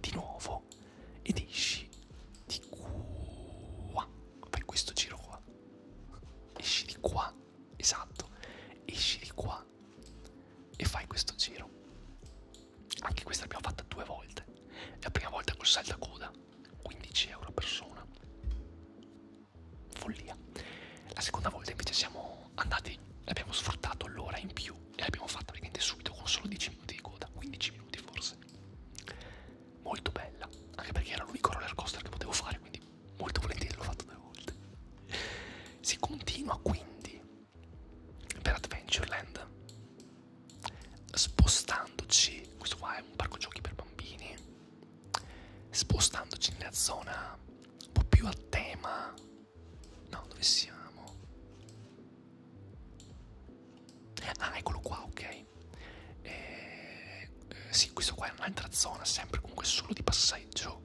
di nuovo ed esci di qua fai questo giro qua esci di qua, esatto, esci di qua e fai questo giro. Anche questa l'abbiamo fatta due volte. È la prima volta col saltacoda, 15 euro a persona. Follia. La seconda volta invece siamo andati, abbiamo sfruttato l'ora in più e l'abbiamo fatta praticamente subito con solo 10 minuti di coda, 15 minuti forse molto bella, anche perché era l'unico roller coaster che potevo fare, quindi molto volentieri l'ho fatto due volte. Si continua quindi per Adventureland spostandoci, questo qua è un parco giochi per bambini, spostandoci nella zona un po' più a tema, no dove siamo? Ah eccolo qua, ok e, eh, sì questo qua è un'altra zona sempre comunque solo di passeggio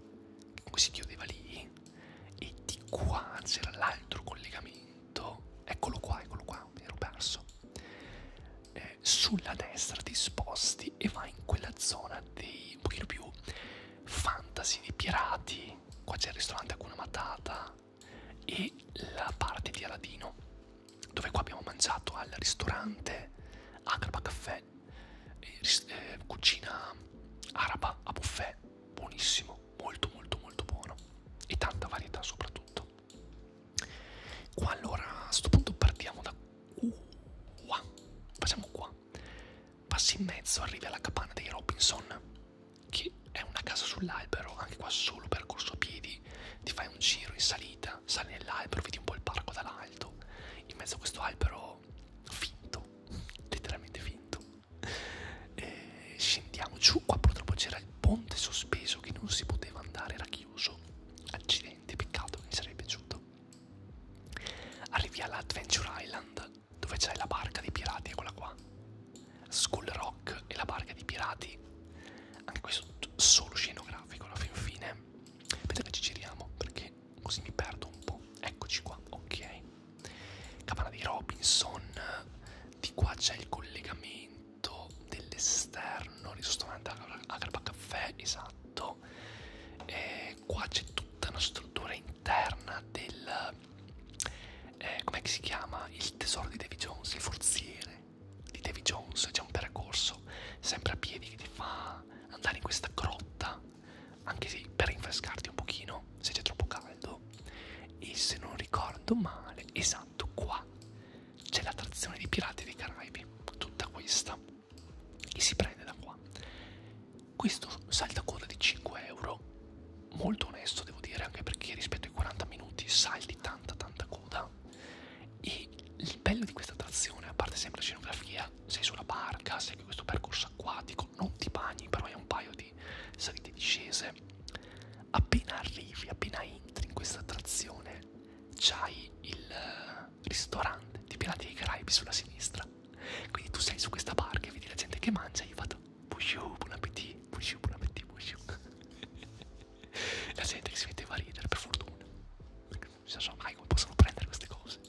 che comunque si chiudeva lì e di qua c'era l'altro collegamento eccolo qua eccolo qua mi ero perso eh, sulla destra ti sposti e vai in quella zona dei un pochino più fantasy di pirati qua c'è il ristorante Akuna Matata e la parte di Aladino dove qua abbiamo mangiato al ristorante Agraba Caffè, eh, eh, cucina araba a buffet, buonissimo, molto molto molto buono e tanta varietà soprattutto. Qua allora a questo punto partiamo da qua, facciamo qua, passi in mezzo, arrivi alla capanna dei Robinson, che è una casa sull'albero, anche qua solo percorso a piedi, ti fai un giro in salita salita, sali nell'albero, vedi un po' il parco dall'alto, in mezzo a questo albero finto, (laughs) letteralmente finto. E scendiamo giù, qua purtroppo c'era il ponte sospeso che non si poteva andare, era chiuso. Accidenti, peccato che mi sarebbe piaciuto. Arrivi all'Adventure Island, dove c'è la barca dei pirati, eccola qua. Skull Rock e la barca dei pirati. Anche questo solo scenografico alla fin fine Vedete che ci giriamo perché così mi perdo un po'. Eccoci qua, ok. Cavana di Robinson, di qua c'è il collegamento dell'esterno, ristorante Agrapa Caffè, esatto. E qua c'è tutta una struttura interna del... Eh, Com'è che si chiama? Il tesoro di Davy Jones, il forziere di Davy Jones, c'è un percorso sempre a piedi che ti fa andare in questa grotta, anche se per rinfrescarti un pochino, se c'è troppo caldo. E se non ricordo male, esatto, qua c'è l'attrazione dei Pirati dei Caraibi, tutta questa, che si prende da qua. Questo saltacoda di 5 euro, molto onesto devo dire, anche perché rispetto ai 40 minuti salti tanta tanta coda e il bello di questa attrazione, a parte sempre la scenografia, sei sulla barca, segui questo percorso acquatico, non ti bagni, però hai un paio di salite e discese. Appena arrivi, appena entri in questa attrazione, c'hai il eh, ristorante di Pirati dei Caraibi sulla sinistra. Quindi tu sei su questa barca e vedi la gente che mangia, io vado, bonjour, buon appetito, bonjour, buon appetito, bonjour. (laughs) la gente che si metteva a ridere, per fortuna perché non si sa mai come possono prendere queste cose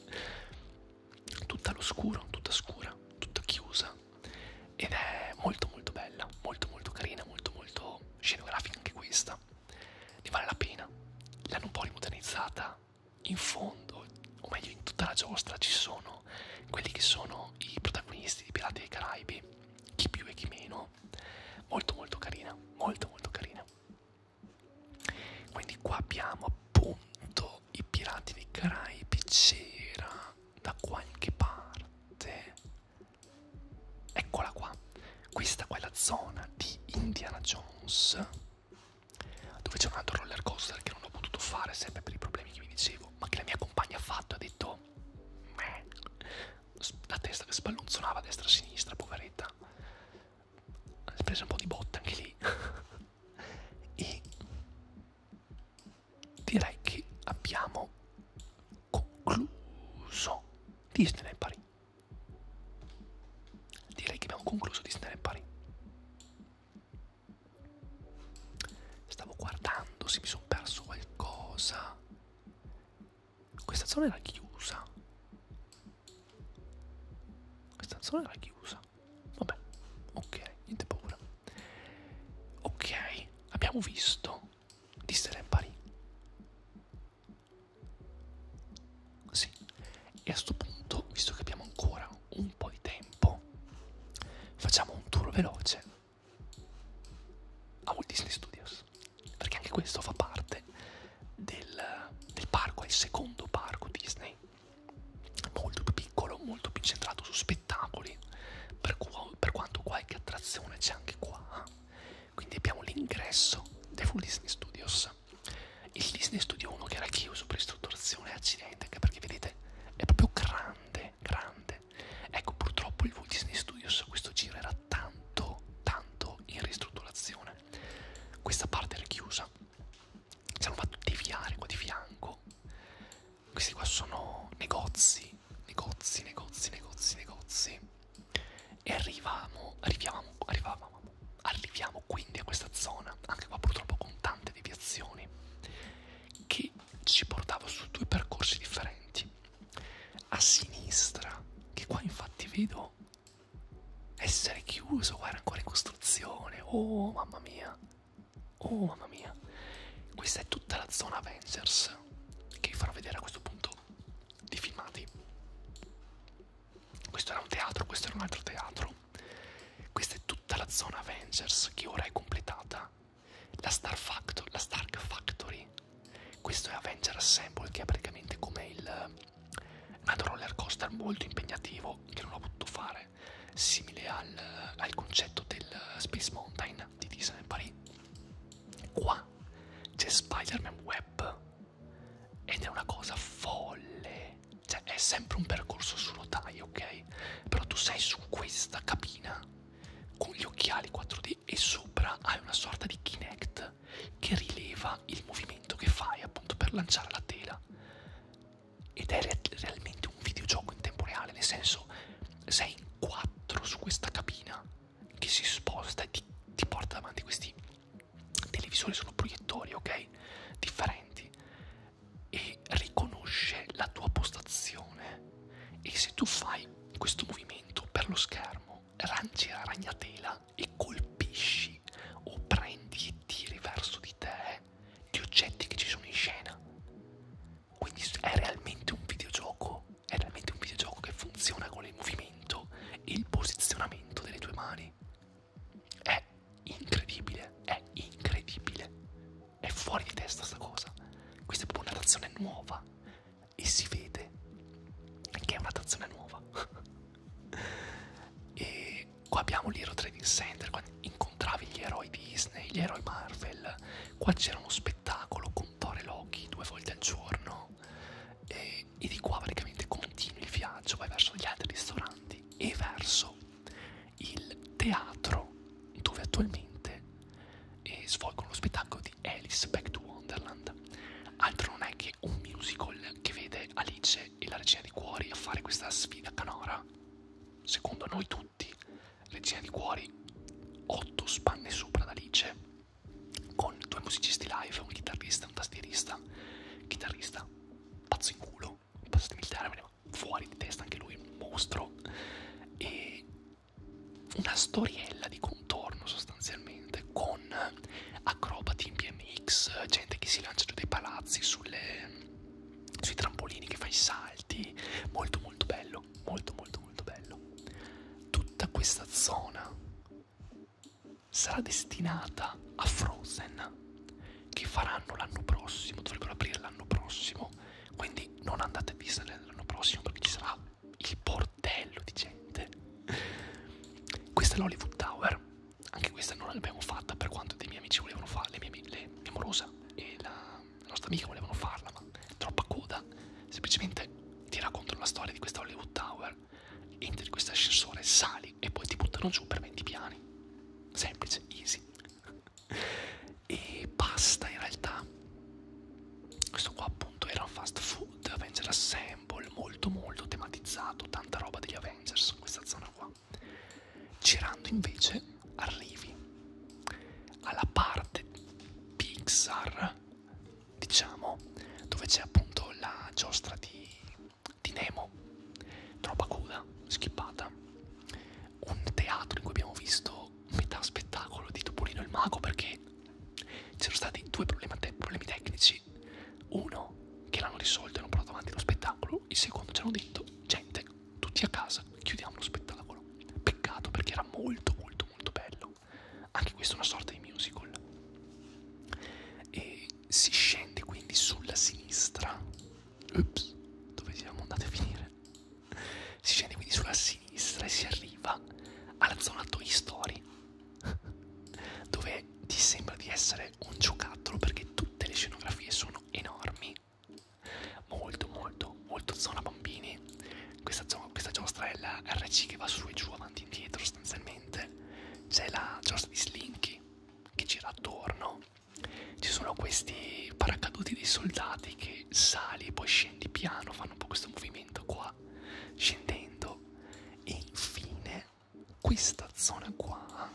tutta all'oscuro tutta scura tutta chiusa ed è molto molto bella molto molto carina molto molto scenografica anche questa ne vale la pena l'hanno un po' rimodernizzata in fondo o meglio in tutta la giostra ci sono quelli che sono i protagonisti di Pirati dei Caraibi chi più e chi meno molto molto carina molto molto carina quindi qua abbiamo appunto i pirati dei Caraibi, c'era da qualche parte. Eccola qua. Questa qua è la zona di Indiana Jones, dove c'è un altro roller coaster che non ho potuto fare sempre per i problemi che vi dicevo, ma che la mia compagna ha fatto e ha detto la testa che spallonzolava a destra e a sinistra, poveretta. Ha preso un po' di botta anche lì. (laughs) e direi che abbiamo concluso Disneyland Paris. Direi che abbiamo concluso Disneyland Paris. Stavo guardando se mi sono perso qualcosa. Questa zona era chiusa. Questa zona era chiusa. Vabbè, ok, niente paura. Ok, abbiamo visto Disneyland Paris. Sì, e a sto punto, visto che abbiamo ancora un po' di tempo, facciamo un tour veloce a Walt Disney Studios perché anche questo fa parte del, del parco, è il secondo parco Disney, molto più piccolo, molto più centrato su spettacoli, per, cu per quanto qualche attrazione c'è anche qua, eh. quindi abbiamo l'ingresso dei Full Disney Studios, il Disney Studio 1 che era chiuso per ristrutturazione e accidente, anche perché vedete è proprio grande, grande, ecco purtroppo il Walt Disney Studios a questo giro era tanto, tanto in ristrutturazione c'è questa parte richiusa siamo fatto deviare qua di fianco questi qua sono negozi negozi negozi negozi negozi e arriviamo arriviamo arrivavamo arriviamo quindi a questa zona anche qua purtroppo con tante deviazioni che ci portava su due percorsi differenti a sinistra che qua infatti vedo essere chiuso, guarda ancora in costruzione, oh mamma mia, oh mamma mia, questa è tutta la zona Avengers che vi farò vedere a questo punto di filmati. Questo era un teatro, questo era un altro teatro, questa è tutta la zona Avengers che ora è completata, la Star Factory, la Stark Factory questo è Avenger Assemble, che è praticamente come il nato eh, roller coaster molto impegnativo che non ho potuto fare, simile al, al concetto del eh, Space Mountain di Disney Paris. Qua c'è Spider-Man Web ed è una cosa folle, cioè è sempre un percorso su rotaie, ok? Però tu sei su questa cabina con gli occhiali 4D e sopra hai una sorta di Kinect che rileva il movimento che fai appunto per lanciare la tela ed è re realmente un videogioco in tempo reale nel senso sei in quattro su questa cabina che si sposta e ti, ti porta davanti questi televisori sono proiettori ok differenti e riconosce la tua postazione e se tu fai questo movimento per lo schermo lanci la ragnatela e colpisci o prendi e tiri verso di te gli oggetti che ci sono in scena. Quindi è realmente un videogioco, è realmente un videogioco che funziona con il movimento e il posizionamento delle tue mani. È incredibile, è incredibile, è fuori di testa sta cosa. Questa è proprio una tazione nuova e si vede che è una tazione nuova. (laughs) e qua abbiamo l'Hero Trading Center quando incontravi gli eroi Disney, gli eroi Marvel qua c'era uno spettacolo con Thor e Loki due volte al giorno e, e di qua praticamente continui il viaggio vai verso gli altri ristoranti e verso il teatro dove attualmente e eh, svolgono lo spettacolo di Alice Back to Wonderland altro non è che anche un musical che vede Alice e la Regina di Cuori a fare questa sfida canora. Secondo noi tutti, Regina di Cuori, 8 spanne sopra ad Alice, con due musicisti live, un chitarrista e un tastierista. Chitarrista, pazzo in culo, passatemi il termine, ma fuori di testa anche lui, un mostro. E una storiella di contorno sostanzialmente, con con acrobati in BMX, gente che si lancia giù dai palazzi sulle, sui trampolini, che fa i salti, molto molto bello, molto molto molto bello. Tutta questa zona sarà destinata a Frozen che faranno l'anno prossimo, dovrebbero aprire l'anno prossimo, quindi non andate a Disneyland l'anno prossimo perché ci sarà il bordello di gente. Questa è l'Hollywood Tower, anche questa non l'abbiamo fatta per quanto dei miei amici volevano farla, le mie, le, mia morosa e la, la nostra amica volevano farla, ma troppa coda. Semplicemente ti raccontano la storia di questa Hollywood Tower, entri in questo ascensore, sali e poi ti buttano giù per 20 piani. Semplice, easy. e basta in realtà. Questo qua appunto era un fast food, penso era 6 Rumble molto molto tematizzato, tanta roba degli Avengers, questa zona qua. Girando invece arrivi alla parte Pixar, diciamo, dove c'è appunto la giostra di, di Nemo, troppa coda, schippata, un teatro in cui abbiamo visto metà spettacolo di Topolino il Mago perché c'erano stati due problemi tecnici personaggi. Uno, che l'hanno risolto e hanno portato avanti lo spettacolo. Il secondo, ci hanno detto, gente, tutti a casa, chiudiamo lo spettacolo. Peccato perché era molto, molto, molto bello. Anche questo è una sorta di musical. E si scende quindi sulla sinistra. Ups, dove siamo andati a finire? Si scende quindi sulla sinistra e si arriva alla zona Toy Story (laughs) dove ti sembra di essere un giocattolo perché tutte le scenografie sono enormi molto molto molto zona bambini questa, questa giostra è la RC che va su e giù avanti e indietro sostanzialmente c'è la giostra di Slinky che gira attorno ci sono questi paracaduti dei soldati che sali poi scendi piano fanno un po' questo movimento qua scendendo e infine è questa zona qua,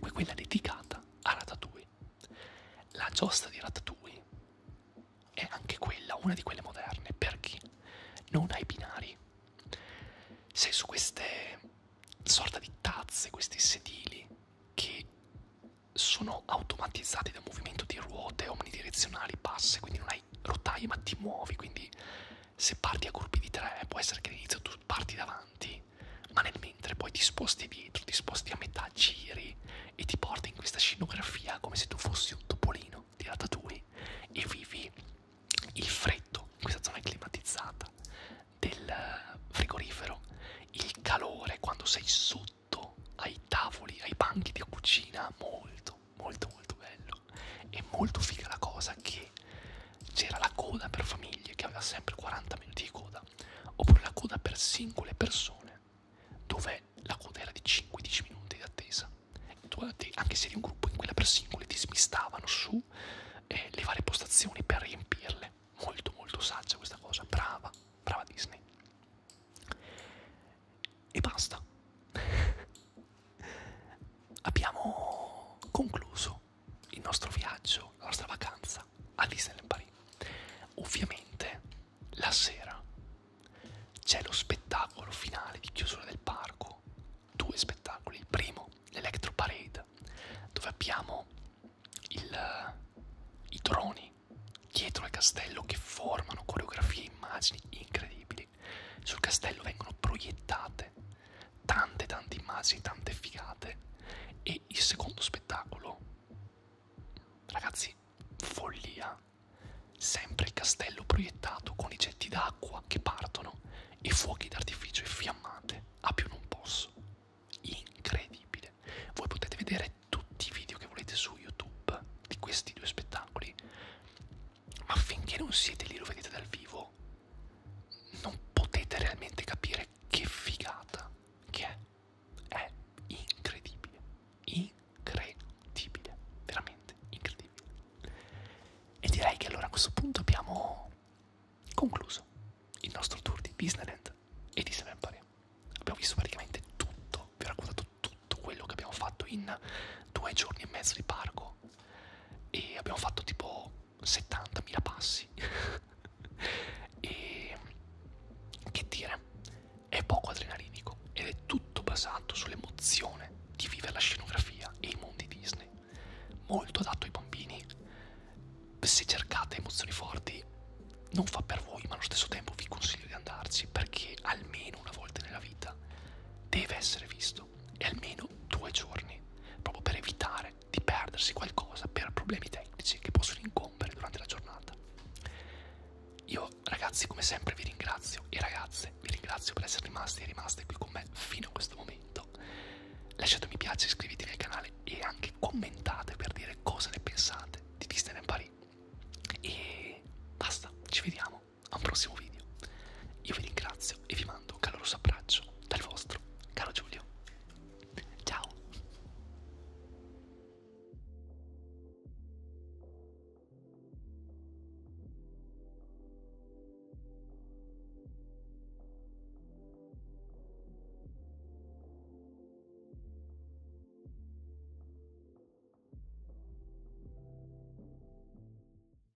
è quella dedicata a Ratatouille. La giostra di Ratatouille è anche quella, una di quelle moderne, perché non ha i binari. Sei su queste sorta di tazze, questi sedili che sono automatizzati da un movimento di ruote omnidirezionali basse, quindi non hai rotaie ma ti muovi, quindi se parti a gruppi di tre, può essere che all'inizio tu parti davanti, ma nel mentre poi ti sposti dietro, ti sposti a metà, giri e ti porti in questa scenografia come se tu fossi un topolino di ratatouille e vivi il freddo in questa zona climatizzata del eh, frigorifero, il calore quando sei sotto ai tavoli, ai banchi di cucina molto molto molto bello e molto figa la cosa che c'era la coda per famiglie che aveva sempre 40 minuti di coda oppure la coda per singole persone dove la coda era di 5-10 minuti di attesa anche se eri un gruppo in cui per singole ti smistavano su eh, le varie postazioni per riempirle molto molto saggia questa cosa brava brava Disney e basta (laughs) abbiamo concluso il nostro viaggio, la nostra vacanza a Disneyland Paris. Ovviamente la sera c'è lo spettacolo finale di chiusura del parco, due spettacoli, il primo l'Electro Parade, dove abbiamo il, i droni dietro al castello che formano coreografie e immagini incredibili sul castello vengono proiettate tante tante immagini, tante figate e il secondo spettacolo, ragazzi, follia, sempre il castello proiettato con i getti d'acqua che partono e fuochi d'artificio e fiammate a più non posso, incredibile, voi potete vedere tutti i video che volete su YouTube di questi due spettacoli ma finché non siete lì, lo vedete dal vivo, non potete realmente capire che figata che è. È incredibile, incredibile, veramente incredibile. E direi che allora a questo punto abbiamo concluso il nostro tour di Disneyland e di Seven Empire. Abbiamo visto praticamente tutto, vi ho raccontato tutto quello che abbiamo fatto in due giorni e mezzo di parco e abbiamo fatto tipo 70.000 passi (laughs) e che dire è poco adrenalinico ed è tutto basato sull'emozione di vivere la scenografia e i mondi Disney molto adatto ai bambini se cercate emozioni forti non fa per voi ma allo stesso tempo vi consiglio di andarci perché almeno una volta nella vita deve essere visto presto e almeno due giorni, proprio per evitare di perdersi qualcosa per problemi tecnici che possono incombere durante la giornata. Io ragazzi come sempre vi ringrazio e ragazze vi ringrazio per essere rimasti e rimaste qui con me fino a questo momento. Lasciate un mi piace, iscrivetevi al canale e anche commentate per dire cosa ne pensate di Disneyland Paris. E basta, ci vediamo a un prossimo video. Io vi ringrazio e vi mando un caloroso abbraccio dal vostro caro Giulio. Ciao!